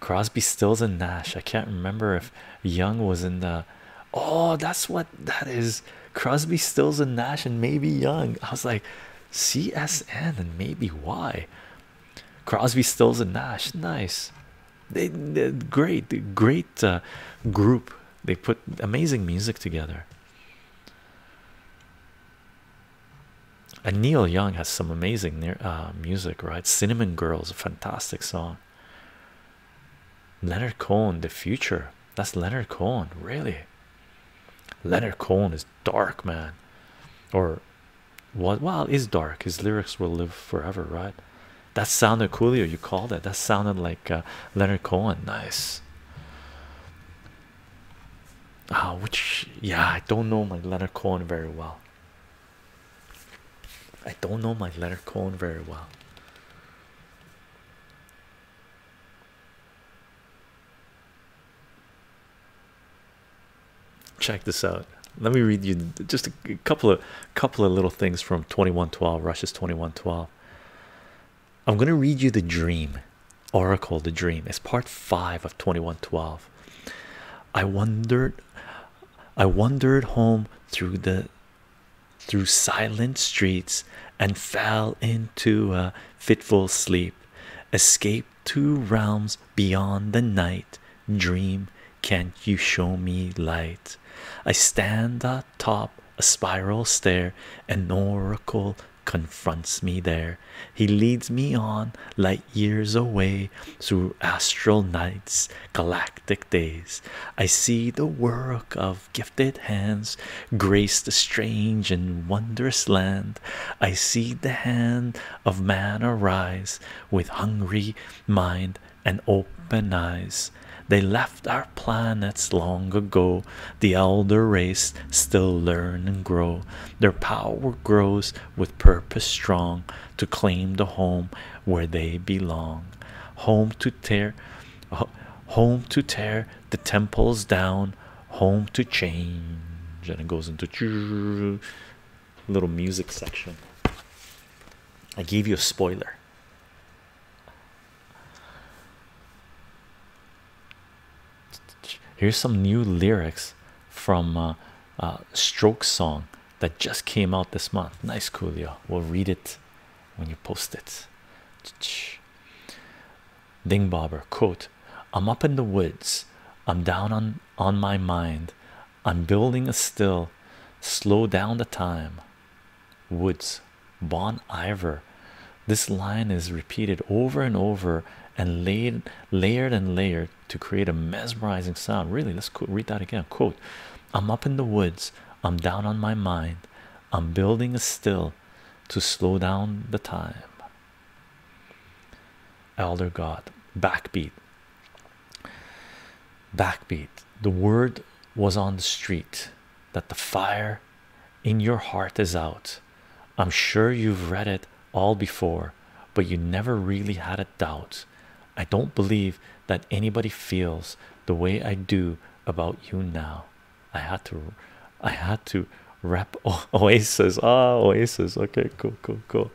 Crosby, Stills, and Nash. I can't remember if Young was in the. Oh, that's what that is. Crosby, Stills, and Nash, and maybe Young. I was like, CSN and maybe why? Crosby, Stills, and Nash. Nice. They did great, great uh, group. They put amazing music together and Neil Young has some amazing uh, music, right? Cinnamon Girls, a fantastic song. Leonard Cohen, The Future. That's Leonard Cohen, really. Leonard Cohen is dark, man. Or what? Well, is dark. His lyrics will live forever, right? That sounded coolio. You called it. That sounded like uh, Leonard Cohen. Nice. Ah, which yeah, I don't know my Leonard Cohen very well. I don't know my letter Cohen very well. Check this out. Let me read you just a couple of couple of little things from 2112 Russia's 2112. I'm going to read you the dream oracle the dream. It's part 5 of 2112. I wandered I wandered home through the through silent streets and fell into a fitful sleep, Escape to realms beyond the night. Dream, can't you show me light? I stand atop a spiral stair, an oracle confronts me there. He leads me on light years away through astral nights, galactic days. I see the work of gifted hands grace the strange and wondrous land. I see the hand of man arise with hungry mind and open eyes. They left our planets long ago. The elder race still learn and grow. Their power grows with purpose strong to claim the home where they belong. Home to tear, home to tear the temples down, home to change. And it goes into little music section. I gave you a spoiler. Here's some new lyrics from uh, uh, stroke song that just came out this month. Nice, Coolio. We'll read it when you post it. Ding Bobber, quote, I'm up in the woods. I'm down on, on my mind. I'm building a still. Slow down the time. Woods, Bon Iver. This line is repeated over and over and laid, layered and layered to create a mesmerizing sound. Really, let's read that again. Quote, I'm up in the woods, I'm down on my mind, I'm building a still to slow down the time. Elder God, backbeat, backbeat. The word was on the street that the fire in your heart is out. I'm sure you've read it all before, but you never really had a doubt. I don't believe that anybody feels the way I do about you now. I had to, I had to rep o Oasis. Ah, oh, Oasis. Okay, cool, cool, cool.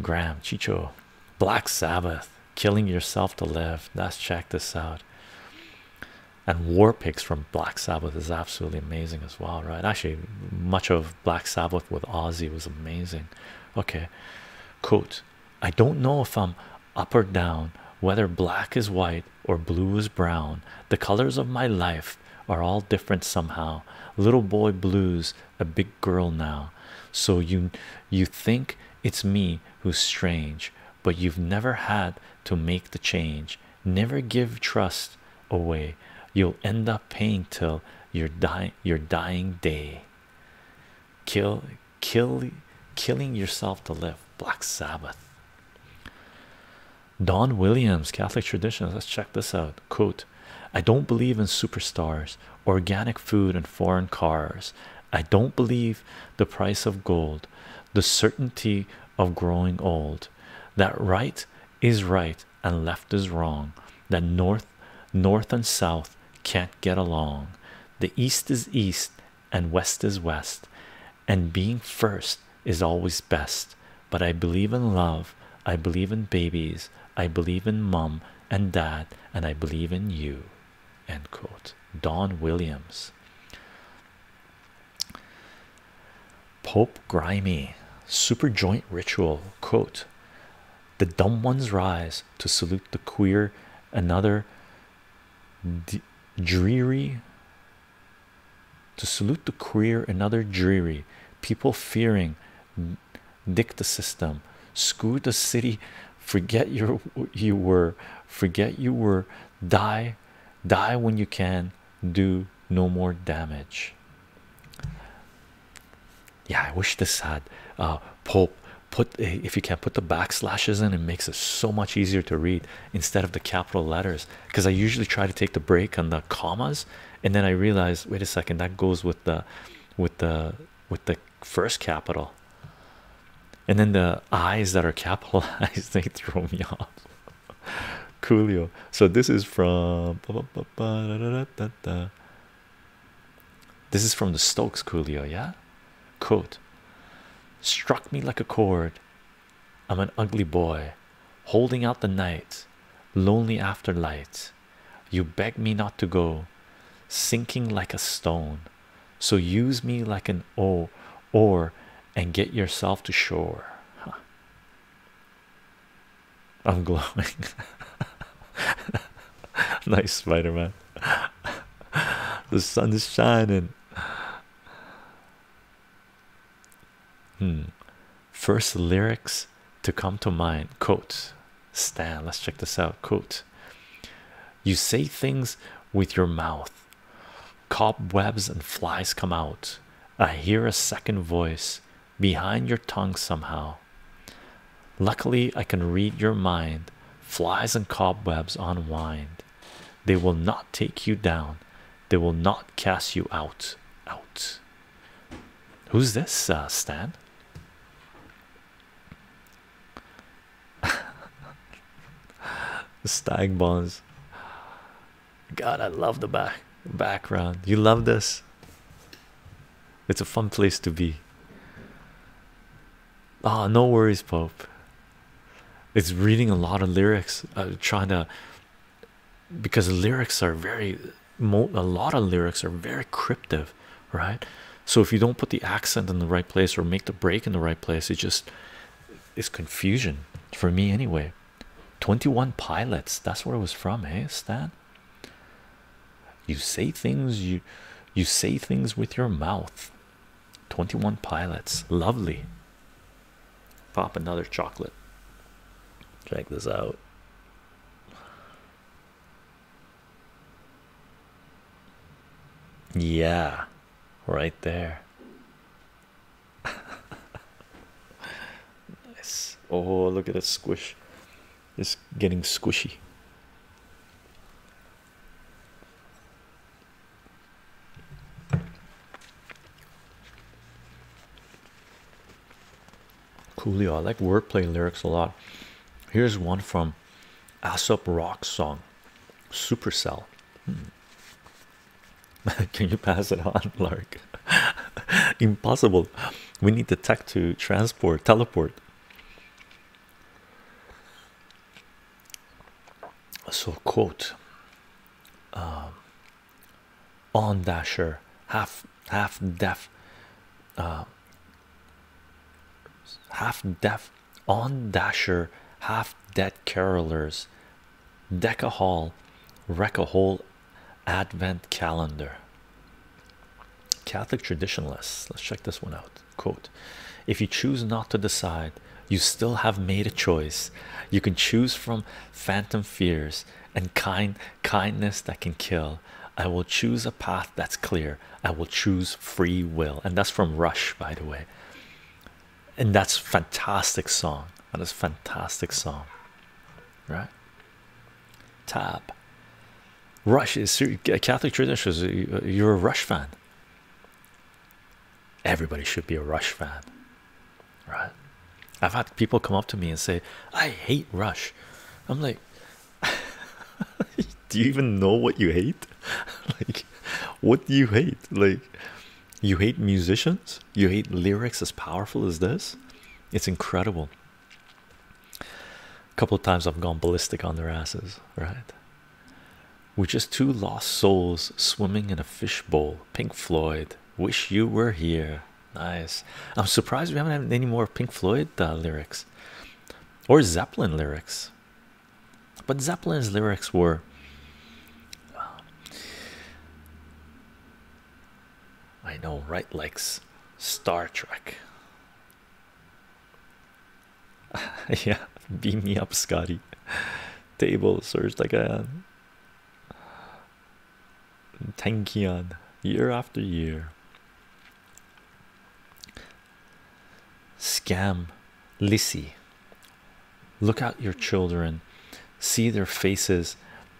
Graham, Chicho, Black Sabbath, killing yourself to live. Let's check this out. And War Pigs from Black Sabbath is absolutely amazing as well, right? Actually, much of Black Sabbath with Ozzy was amazing. Okay, quote I don't know if I'm up or down, whether black is white or blue is brown. The colors of my life are all different somehow. Little boy blues, a big girl now. So you you think it's me who's strange, but you've never had to make the change never give trust away you'll end up paying till your die your dying day kill kill killing yourself to live black sabbath don williams catholic traditions let's check this out quote i don't believe in superstars organic food and foreign cars i don't believe the price of gold the certainty of growing old that right is right and left is wrong, that north, north and south can't get along, the east is east and west is west, and being first is always best. But I believe in love, I believe in babies, I believe in mum and dad, and I believe in you. End quote. Don Williams. Pope Grimy superjoint ritual quote the dumb ones rise to salute the queer another dreary to salute the queer another dreary people fearing dick the system screw the city forget your you were forget you were die die when you can do no more damage yeah, I wish this had uh, Pope put eh, if you can put the backslashes in, it makes it so much easier to read instead of the capital letters. Because I usually try to take the break on the commas, and then I realize, wait a second, that goes with the with the with the first capital, and then the I's that are capitalized they throw me off. Julio. So this is from this is from the Stokes Coolio, yeah? Quote Struck me like a chord. I'm an ugly boy, holding out the night, lonely after light. You beg me not to go, sinking like a stone. So use me like an o, oar, and get yourself to shore. Huh. I'm glowing. nice Spider Man. the sun is shining. Hmm. First lyrics to come to mind. Quote Stan, let's check this out. Quote You say things with your mouth, cobwebs and flies come out. I hear a second voice behind your tongue somehow. Luckily, I can read your mind. Flies and cobwebs unwind. They will not take you down. They will not cast you out. Out. Who's this, uh, Stan? Stag bonds. God, I love the back background. You love this. It's a fun place to be. Ah, no worries, Pope. It's reading a lot of lyrics. Uh, trying to because lyrics are very a lot of lyrics are very cryptic, right? So if you don't put the accent in the right place or make the break in the right place, it just is confusion for me anyway. 21 pilots, that's where it was from, hey Stan. You say things you you say things with your mouth. 21 pilots, lovely. Pop another chocolate. Check this out. Yeah, right there. Nice. Oh, look at that squish. It's getting squishy. Coolio. I like wordplay lyrics a lot. Here's one from Aesop Rock song, Supercell. Hmm. Can you pass it on, Lark? Impossible we need the tech to transport teleport so quote um, on dasher half half deaf uh, half deaf on dasher half dead carolers deck a hall wreck a whole advent calendar catholic traditionalists let's check this one out quote if you choose not to decide you still have made a choice you can choose from phantom fears and kind kindness that can kill i will choose a path that's clear i will choose free will and that's from rush by the way and that's fantastic song that is fantastic song right tab. Rush is a uh, Catholic tradition. Uh, you're a Rush fan. Everybody should be a Rush fan, right? I've had people come up to me and say, "I hate Rush." I'm like, "Do you even know what you hate? like, what do you hate? Like, you hate musicians? You hate lyrics as powerful as this? It's incredible." A couple of times I've gone ballistic on their asses, right? We're just two lost souls swimming in a fishbowl. Pink Floyd, wish you were here. Nice. I'm surprised we haven't had any more Pink Floyd uh, lyrics or Zeppelin lyrics. But Zeppelin's lyrics were I know, right? legs. Star Trek. yeah, beam me up, Scotty. Table surged like a Tankion year after year. Scam Lissy. Look out your children, see their faces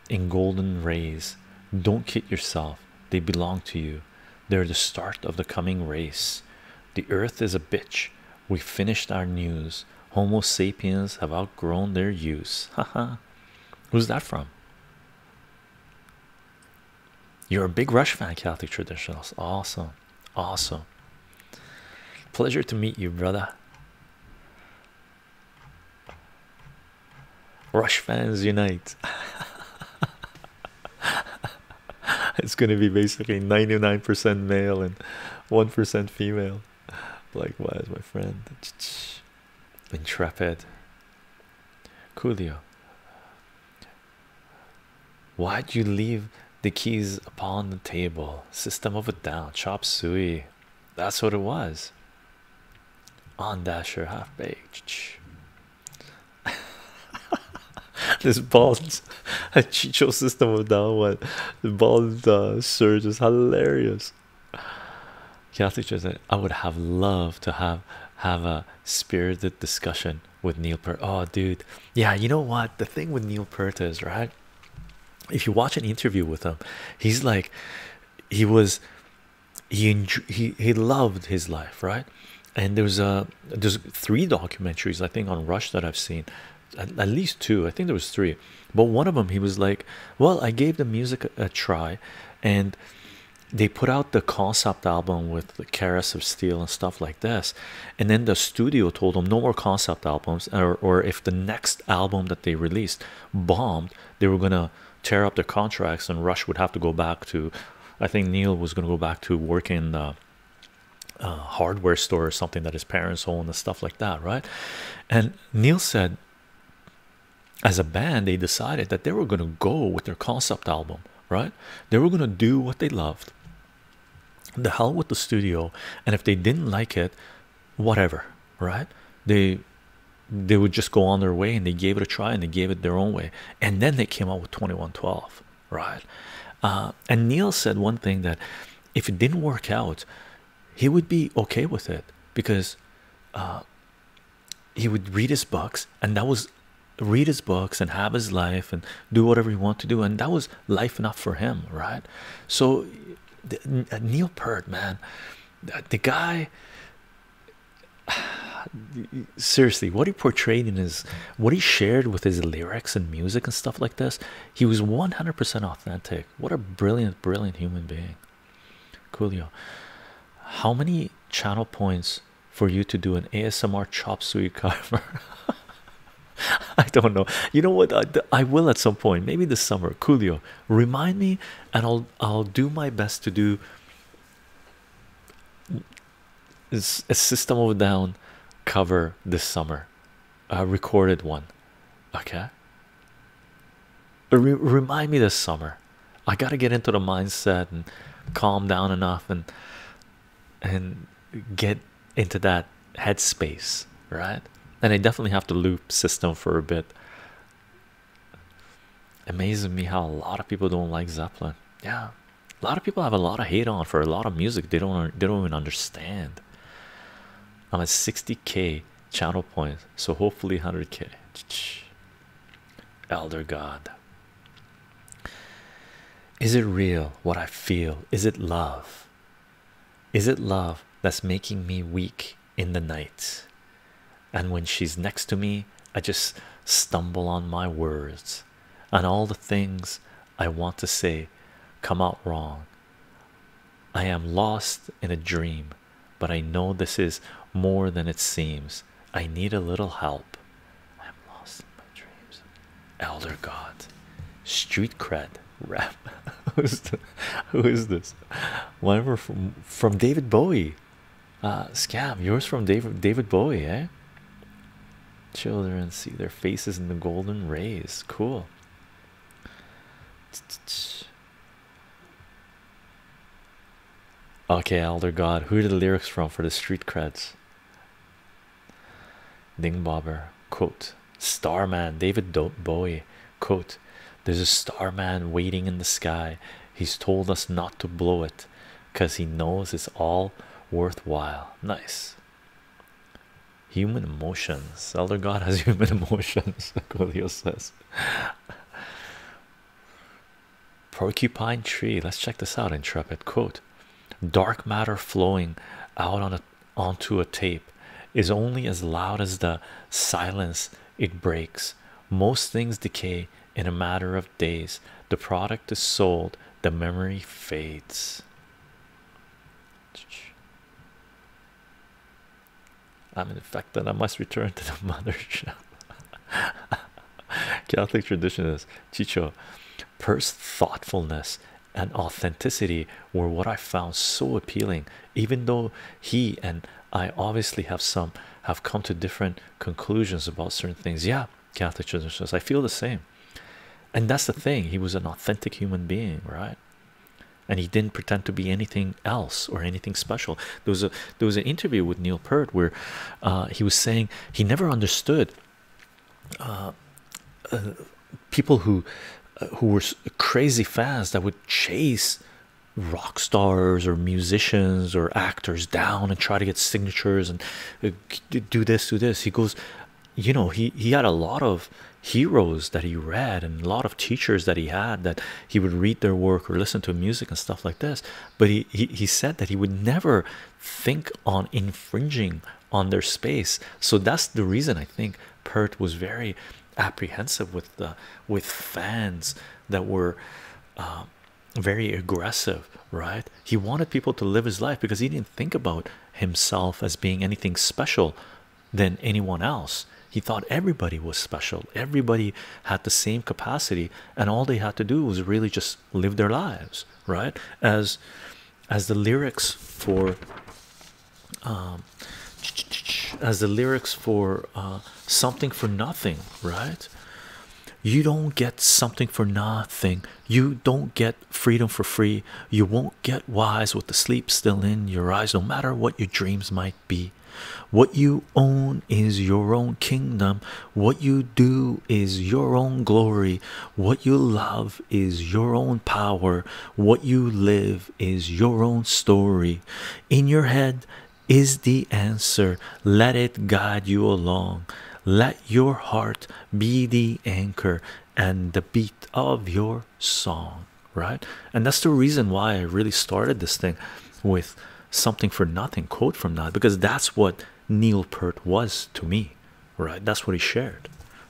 in golden rays. Don't kid yourself, they belong to you. They're the start of the coming race. The earth is a bitch. We finished our news. Homo sapiens have outgrown their use. Haha. Who's that from? You're a big Rush fan, Celtic Traditionals. Awesome. Awesome. Pleasure to meet you, brother. Rush fans unite. it's gonna be basically 99% male and 1% female. wise, my friend. Intrepid. Coolio. Why'd you leave the keys upon the table? System of a down. Chop suey. That's what it was. On Dasher half page. this bald Chicho system of down one. The bald uh, surge is hilarious. Catholic Church said, I would have loved to have have a spirited discussion with Neil Peart. Oh, dude, yeah, you know what? The thing with Neil Peart is right. If you watch an interview with him, he's like, he was he he he loved his life, right? And there's a there's three documentaries I think on Rush that I've seen, at, least two. I think there was three, but one of them he was like, well, I gave the music a, try, and they put out the concept album with the Keras of Steel and stuff like this, and then the studio told them no more concept albums, or or if the next album that they released bombed, they were gonna tear up their contracts and rush would have to go back to i think neil was going to go back to working uh, uh, hardware store or something that his parents own and stuff like that right and neil said as a band they decided that they were going to go with their concept album right they were going to do what they loved the hell with the studio and if they didn't like it whatever right they they would just go on their way and they gave it a try and they gave it their own way and then they came out with 2112 right uh, and neil said one thing that if it didn't work out he would be okay with it because uh, he would read his books and that was read his books and have his life and do whatever he wanted to do and that was life enough for him right so neil pert man the guy seriously what he portrayed in his what he shared with his lyrics and music and stuff like this he was 100% authentic what a brilliant brilliant human being coolio how many channel points for you to do an asmr chop suey cover i don't know you know what I, will at some point maybe this summer coolio remind me and i'll i'll do my best to do a System of Down cover this summer, a recorded one. Okay. remind me this summer. I gotta get into the mindset and calm down enough and and get into that headspace, right? And I definitely have to loop system for a bit Amazing me how a lot of people don't like Zeppelin. Yeah, a lot of people have a lot of hate on for a lot of music they don't they don't even understand. I'm at 60k channel points, so hopefully 100k. Elder God, is it real what I feel? Is it love? Is it love that's making me weak? in the night, and when she's next to me, I just stumble on my words, and all the things I want to say come out wrong. I am lost in a dream, but I know this is more than it seems. I need a little help. I'm lost in my dreams. Elder God, street cred, rap. who, is the, who is this? Whatever from from David Bowie. Bowie. Uh, scam, yours from David David Bowie, eh? Children see their faces in the golden rays. Cool. Okay, Elder God, who are the lyrics from for the street creds? Ding quote, Starman, David Bowie, quote, there's a starman waiting in the sky. He's told us not to blow it because he knows it's all worthwhile. Nice. Human emotions. Elder God has human emotions, Colio says. Porcupine tree. Let's check this out, Intrepid. Quote Dark matter flowing out on a onto a tape is only as loud as the silence it breaks. Most things decay in a matter of days. The product is sold, the memory fades. I'm in fact infected. I must return to the mothership. Catholic tradition is Chicho. Purse thoughtfulness and authenticity were what I found so appealing, even though he and I obviously have some have come to different conclusions about certain things. Yeah, Catholic Church says I feel the same, and that's the thing. He was an authentic human being, right? And he didn't pretend to be anything else or anything special. There was a there was an interview with Neil Peart where uh, he was saying he never understood uh, uh, people who who were crazy fans that would chase rock stars or musicians or actors down and try to get signatures and uh, do this do this he goes you know he he had a lot of heroes that he read and a lot of teachers that he had that he would read their work or listen to music and stuff like this but he he, he said that he would never think on infringing on their space so that's the reason i think pert was very apprehensive with the with fans that were uh, very aggressive, right? He wanted people to live his life because he didn't think about himself as being anything special than anyone else. He thought everybody was special, everybody had the same capacity, and all they had to do was really just live their lives, right? As as the lyrics for um, as the lyrics for uh, something for nothing, right? you don't get something for nothing you don't get freedom for free you won't get wise with the sleep still in your eyes no matter what your dreams might be what you own is your own kingdom what you do is your own glory what you love is your own power what you live is your own story in your head is the answer. Let it guide you along. Let your heart be the anchor and the beat of your song, right? And that's the reason why I really started this thing with something for nothing quote from that because that's what Neil Peart was to me, right? That's what he shared,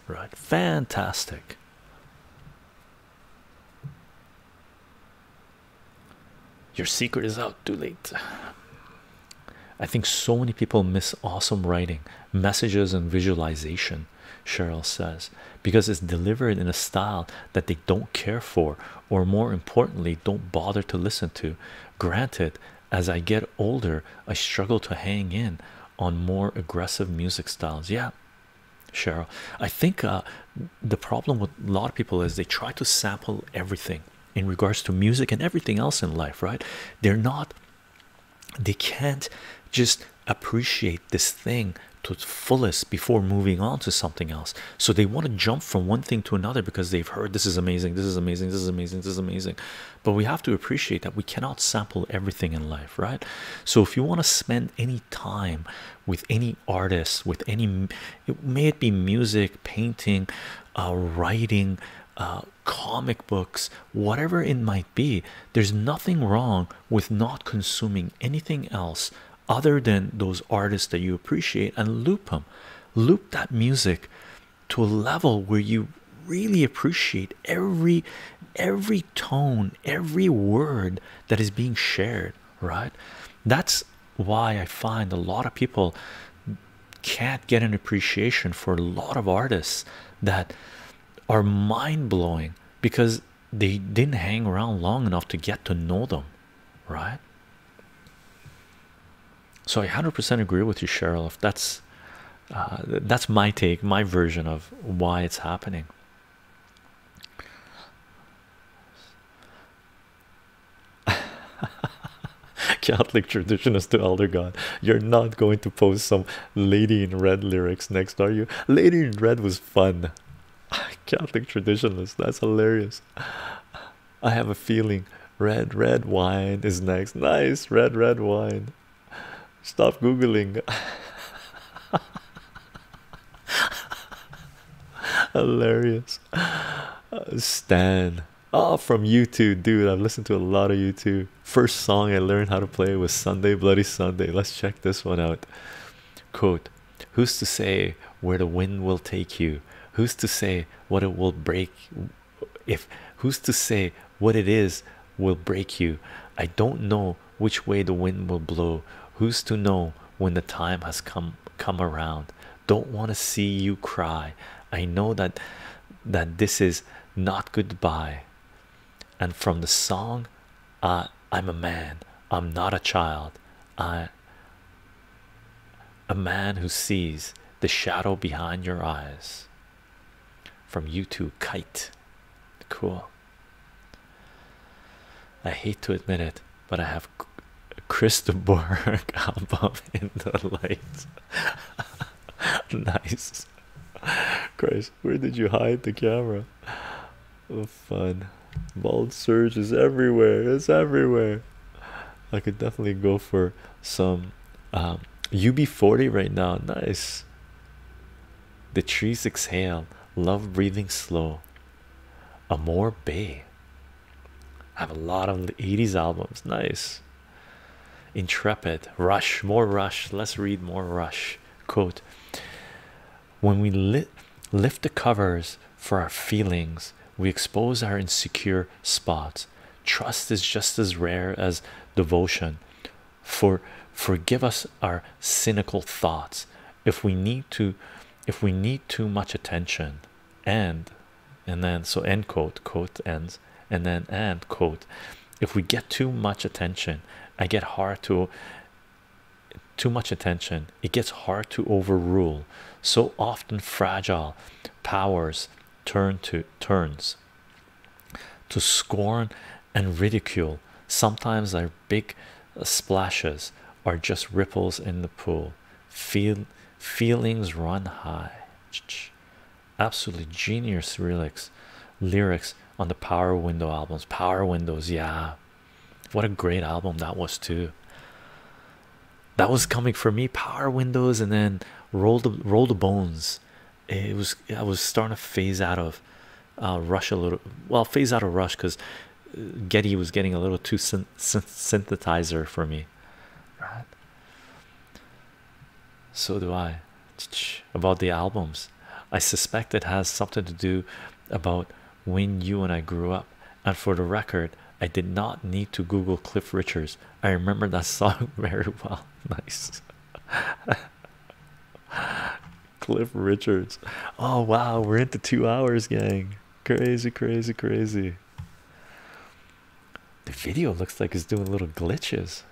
right? Fantastic. Your secret is out too late. I think so many people miss awesome writing, messages, and visualization, Cheryl says, because it's delivered in a style that they don't care for, or more importantly, don't bother to listen to. Granted, as I get older, I struggle to hang in on more aggressive music styles. Yeah, Cheryl, I think uh, the problem with a lot of people is they try to sample everything in regards to music and everything else in life, right? They're not, they can't just appreciate this thing to its fullest before moving on to something else. So they want to jump from one thing to another because they've heard this is amazing, this is amazing, this is amazing, this is amazing. But we have to appreciate that we cannot sample everything in life, right? So if you want to spend any time with any artist, with any it may it be music painting uh, writing uh, comic books whatever it might be there's nothing wrong with not consuming anything else other than those artists that you appreciate and loop them loop that music to a level where you really appreciate every every tone every word that is being shared right that's why I find a lot of people can't get an appreciation for a lot of artists that are mind-blowing because they didn't hang around long enough to get to know them, right? So I 100% agree with you, Cheryl. If that's uh, that's my take, my version of why it's happening. Catholic tradition is to elder god. You're not going to post some lady in red lyrics next, are you? Lady in red was fun. Catholic traditionalist, that's hilarious. I have a feeling red, red wine is next. Nice, red, red wine. Stop googling. hilarious. Stan. Oh, from YouTube, dude. I've listened to a lot of YouTube. First song I learned how to play was Sunday Bloody Sunday. Let's check this one out. Quote Who's to say where the wind will take you? Who's to say what it will break? If who's to say what it is will break you? I don't know which way the wind will blow. Who's to know when the time has come come around? don't want to see you cry i know that that this is not goodbye and from the song uh, i'm a man i'm not a child i a man who sees the shadow behind your eyes from you to kite cool i hate to admit it but i have have Christopher album in the light. nice, Chris. Where did you hide the camera? Oh, fun. Bald surge is everywhere. It's everywhere. I could definitely go for some um, UB40 right now. Nice. The trees exhale. Love breathing slow. Amor Bay. I have a lot of the 80s albums. Nice. Intrepid. Rush. More Rush. Let's read more Rush. Quote When we lit, lift the covers for our feelings, we expose our insecure spots. Trust is just as rare as devotion. For forgive us our cynical thoughts if we need to if we need too much attention and and then so end quote quote ends and then end quote if we get too much attention i get hard to too much attention it gets hard to overrule so often fragile powers turn to turns to scorn and ridicule sometimes our big splashes are just ripples in the pool feel feelings run high absolutely genius lyrics lyrics on the power window albums power windows yeah what a great album that was too that was coming for me power windows and then roll the roll the bones it was i was starting to phase out of uh, rush a little well phase out of rush because uh, getty was getting a little too synth synthesizer for me right? So do I about the albums. I suspect it has something to do about when you and I grew up. And for the record, I did not need to Google Cliff Richards. I remember that song very well. Nice. Cliff Richards. Oh wow, we're into two hours, gang. Crazy, crazy, crazy. The video looks like it's doing little glitches.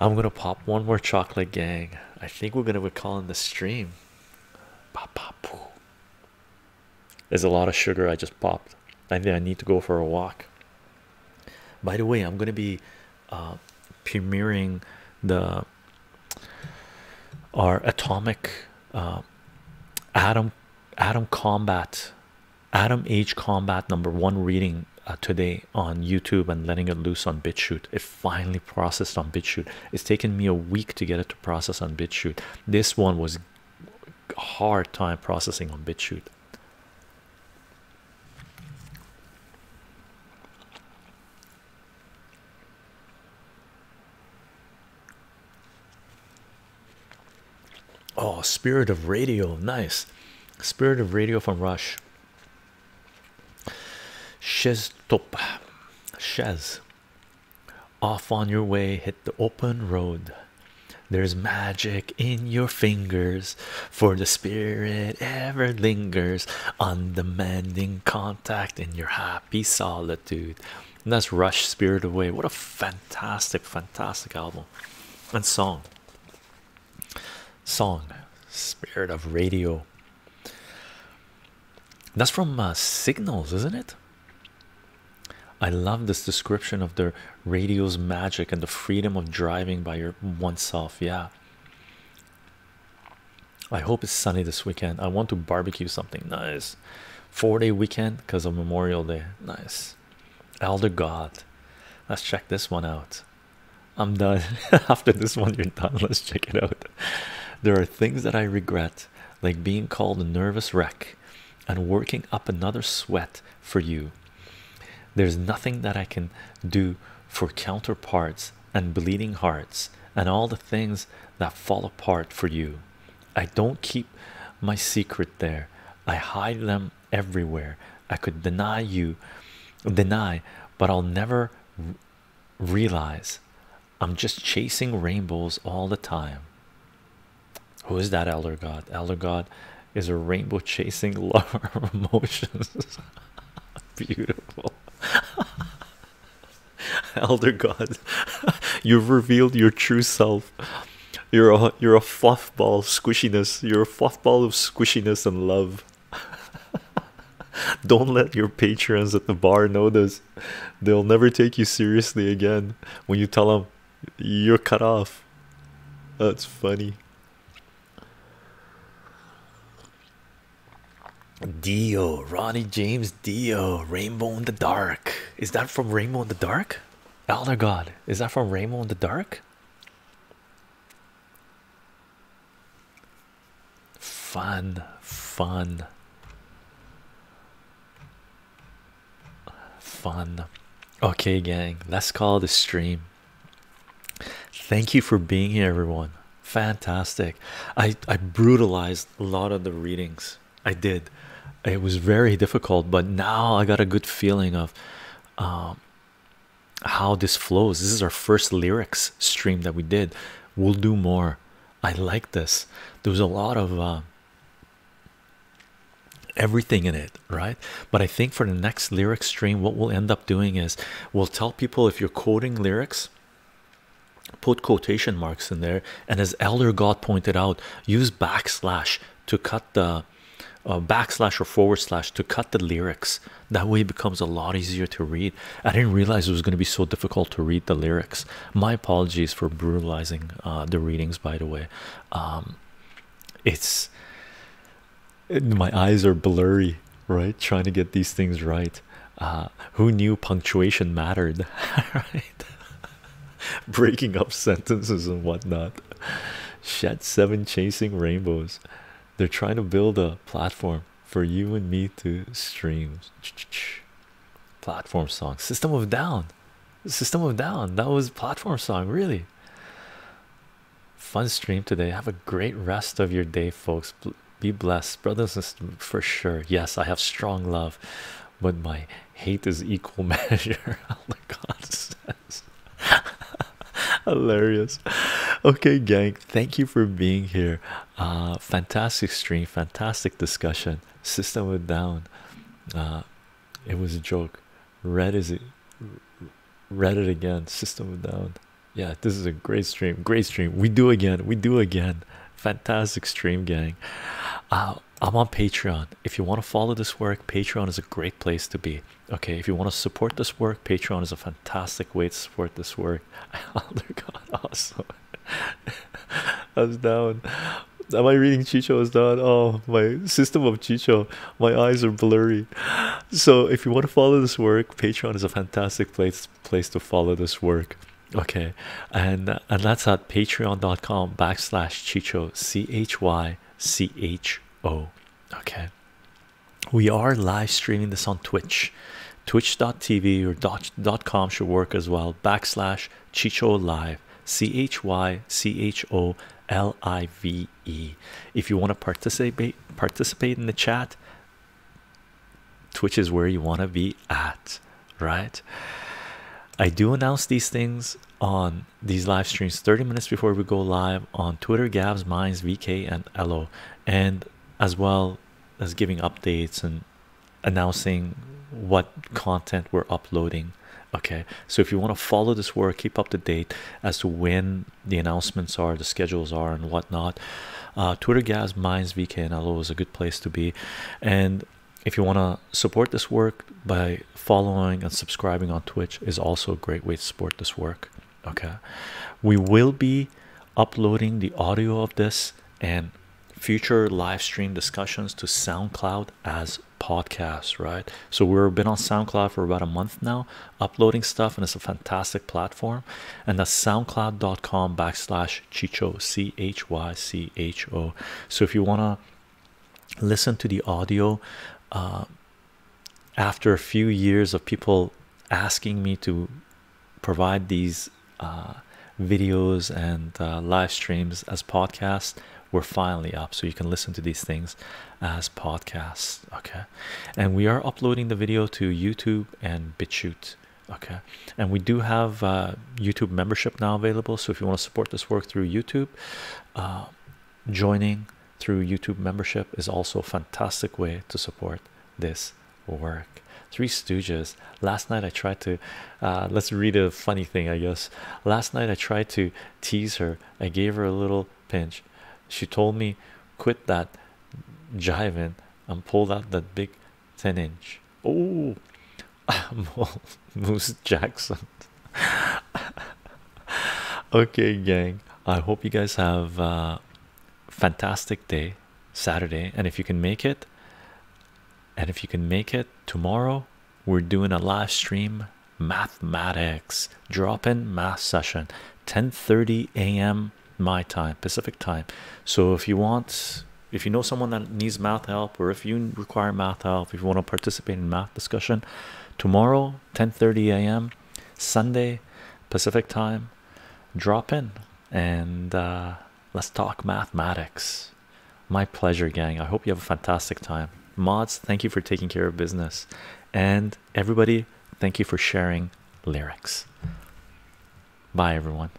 I'm gonna pop one more chocolate, gang. I think we're gonna be calling the stream. Pop, pop, poo. There's a lot of sugar I just popped. I think I need to go for a walk. By the way, I'm gonna be uh, premiering the our atomic uh, Adam Adam Combat Adam Age Combat number one reading uh, today on YouTube and letting it loose on BitChute. It finally processed on BitChute. It's taken me a week to get it to process on BitChute. This one was hard time processing on BitChute. Oh, Spirit of Radio, nice. Spirit of Radio from Rush. Shez top, Shez. Off on your way, hit the open road. There's magic in your fingers, for the spirit ever lingers, undemanding contact in your happy solitude and that's rush spirit away what a fantastic fantastic album and song song spirit of radio that's from uh, signals isn't it i love this description of the radio's magic and the freedom of driving by your oneself yeah i hope it's sunny this weekend i want to barbecue something nice four day weekend because of Memorial Day. Nice, Elder God. Let's check this one out. I'm done after this one. You're done. Let's check it out. There are things that I regret, like being called a nervous wreck and working up another sweat for you. There's nothing that I can do for counterparts and bleeding hearts and all the things that fall apart for you. I don't keep my secret there, I hide them everywhere. I could deny you, deny, but I'll never realize I'm just chasing rainbows all the time. Who is that elder god? is a rainbow chasing lover of emotions. Beautiful. elder god you've revealed your true self you're a you're a fluff ball squishiness you're a fluff ball of squishiness and love don't let your patrons at the bar know this they'll never take you seriously again when you tell them you're cut off that's funny Dio Ronnie James Dio Rainbow in the Dark. Is that from Rainbow in the Dark? Elder God, is that from Rainbow in the Dark? Fun, fun, fun. Okay, gang, let's call the stream. Thank you for being here, everyone. Fantastic. I, I brutalized a lot of the readings I did. It was very difficult, but now I got a good feeling of um, how this flows. This is our first lyrics stream that we did. We'll do more. I like this. There was a lot of uh, everything in it, right? But I think for the next lyric stream, what we'll end up doing is we'll tell people if you're quoting lyrics put quotation marks in there and as elder god pointed out use backslash to cut the uh, backslash or forward slash to cut the lyrics that way it becomes a lot easier to read i didn't realize it was going to be so difficult to read the lyrics my apologies for brutalizing uh, the readings by the way um, it's my eyes are blurry right trying to get these things right uh, who knew punctuation mattered Breaking up sentences and whatnot. Shed seven chasing rainbows. They're trying to build a platform for you and me to stream. Platform song. System of Down. System of Down. That was platform song, really. Fun stream today. Have a great rest of your day, folks. Be blessed, brothers and sisters, for sure. Yes, I have strong love, but my hate is equal measure. God says. Hilarious. Okay, gang. Thank you for being here. Uh, fantastic stream, fantastic discussion. System went down. Uh, it was a joke. Red is it? Red it again. System went down. Yeah, this is a great stream. Great stream. We do again. We do again. Fantastic stream, gang. Uh, I'm on Patreon. If you want to follow this work, Patreon is a great place to be. Okay, if you want to support this work, Patreon is a fantastic way to support this work. Oh, Elder God, awesome. I was down. Am I reading Chicho? I was down. Oh, my system of Chicho. My eyes are blurry. So, if you want to follow this work, Patreon is a fantastic place place to follow this work okay and and that's at patreon.com backslash chicho c-h-y-c-h-o okay we are live streaming this on twitch twitch.tv or dot, com should work as well backslash chicho live c-h-y-c-h-o-l-i-v-e if you want to participate participate in the chat twitch is where you want to be at right? I do announce these things on these live streams 30 minutes before we go live on Twitter, Gabs, Minds, VK, and Elo, and as well as giving updates and announcing what content we're uploading. Okay, so if you want to follow this work, keep up to date as to when the announcements are, the schedules are, and whatnot. Uh, Twitter, Gabs, Minds, VK, and Elo is a good place to be, and if you want to support this work by following and subscribing on twitch is also a great way to support this work okay we will be uploading the audio of this and future live stream discussions to soundcloud as podcasts right so we've been on soundcloud for about a month now uploading stuff and it's a fantastic platform and that's soundcloud.com backslash chicho c-h-y-c-h-o so if you want to listen to the audio uh, after a few years of people asking me to provide these uh, videos and uh, live streams as podcasts we're finally up so you can listen to these things as podcasts okay and we are uploading the video to youtube and bitchute okay and we do have YouTube membership now available. So if you want to support this work through YouTube, uh, joining through YouTube membership is also a fantastic way to support this work. Three Stooges. Last night I tried to, uh, let's read a funny thing, I guess. Last night I tried to tease her. I gave her a little pinch. She told me, quit that jiving and pulled out that big 10 inch. Oh, Moose Jackson. okay, gang. I hope you guys have a fantastic day Saturday. And if you can make it, and if you can make it tomorrow, we're doing a live stream mathematics drop-in math session 10:30 a.m. my time Pacific time. So if you want if you know someone that needs math help or if you require math help if you want to participate in math discussion tomorrow 10:30 a.m. Sunday Pacific time drop in and uh, let's talk mathematics my pleasure gang I hope you have a fantastic time mods thank you for taking care of business and everybody thank you for sharing lyrics bye everyone